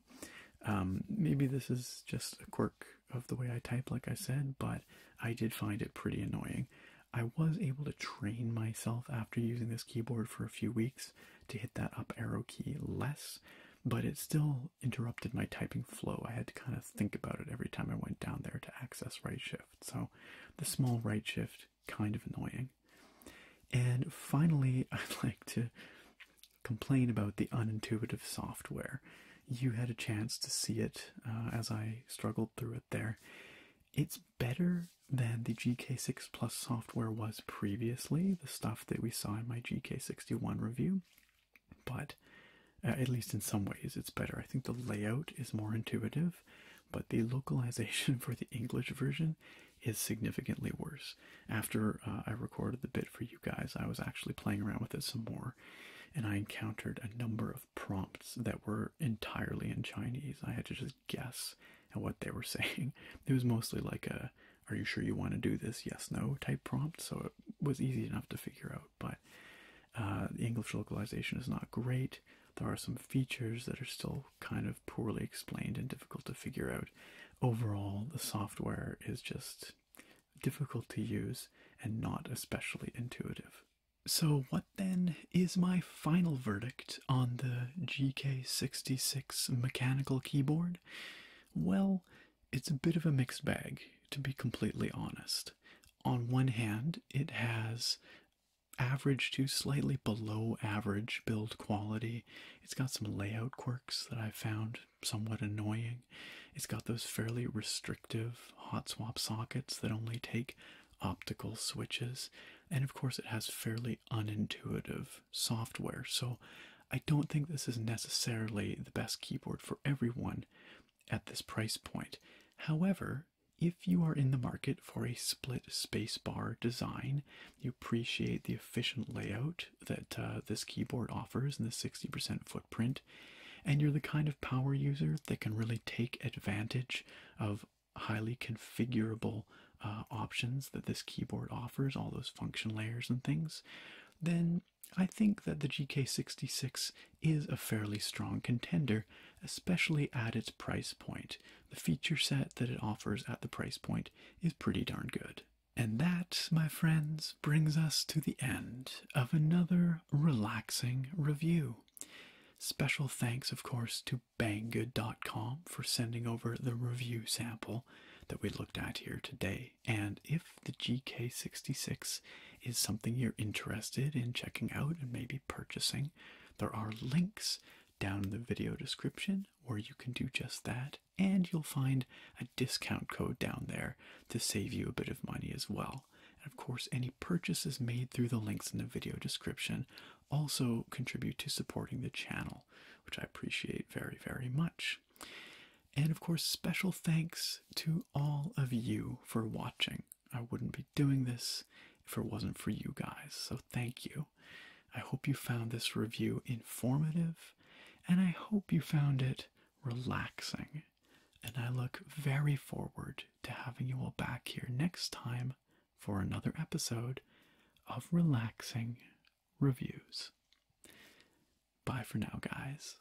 Um, maybe this is just a quirk of the way I type, like I said, but I did find it pretty annoying. I was able to train myself after using this keyboard for a few weeks to hit that up arrow key less, but it still interrupted my typing flow. I had to kind of think about it every time I went down there to access right shift. So the small right shift kind of annoying. And finally, [laughs] I'd like to complain about the unintuitive software. You had a chance to see it uh, as I struggled through it there. It's better than the GK6 Plus software was previously, the stuff that we saw in my GK61 review, but uh, at least in some ways it's better i think the layout is more intuitive but the localization [laughs] for the english version is significantly worse after uh, i recorded the bit for you guys i was actually playing around with it some more and i encountered a number of prompts that were entirely in chinese i had to just guess at what they were [laughs] saying it was mostly like a are you sure you want to do this yes no type prompt so it was easy enough to figure out but uh, the English localization is not great. There are some features that are still kind of poorly explained and difficult to figure out. Overall, the software is just difficult to use and not especially intuitive. So, what then is my final verdict on the GK66 mechanical keyboard? Well, it's a bit of a mixed bag, to be completely honest on one hand, it has average to slightly below average build quality. It's got some layout quirks that I found somewhat annoying. It's got those fairly restrictive hot swap sockets that only take optical switches. And of course, it has fairly unintuitive software. So I don't think this is necessarily the best keyboard for everyone at this price point. However, if you are in the market for a split spacebar design, you appreciate the efficient layout that uh, this keyboard offers and the 60% footprint, and you're the kind of power user that can really take advantage of highly configurable uh, options that this keyboard offers, all those function layers and things, then I think that the GK66 is a fairly strong contender, especially at its price point. The feature set that it offers at the price point is pretty darn good. And that, my friends, brings us to the end of another relaxing review. Special thanks, of course, to banggood.com for sending over the review sample that we looked at here today. And if the GK66 is something you're interested in checking out and maybe purchasing, there are links down in the video description or you can do just that, and you'll find a discount code down there to save you a bit of money as well. And of course, any purchases made through the links in the video description also contribute to supporting the channel, which I appreciate very, very much. And of course, special thanks to all of you for watching. I wouldn't be doing this if it wasn't for you guys. So thank you. I hope you found this review informative and I hope you found it relaxing. And I look very forward to having you all back here next time for another episode of Relaxing Reviews. Bye for now, guys.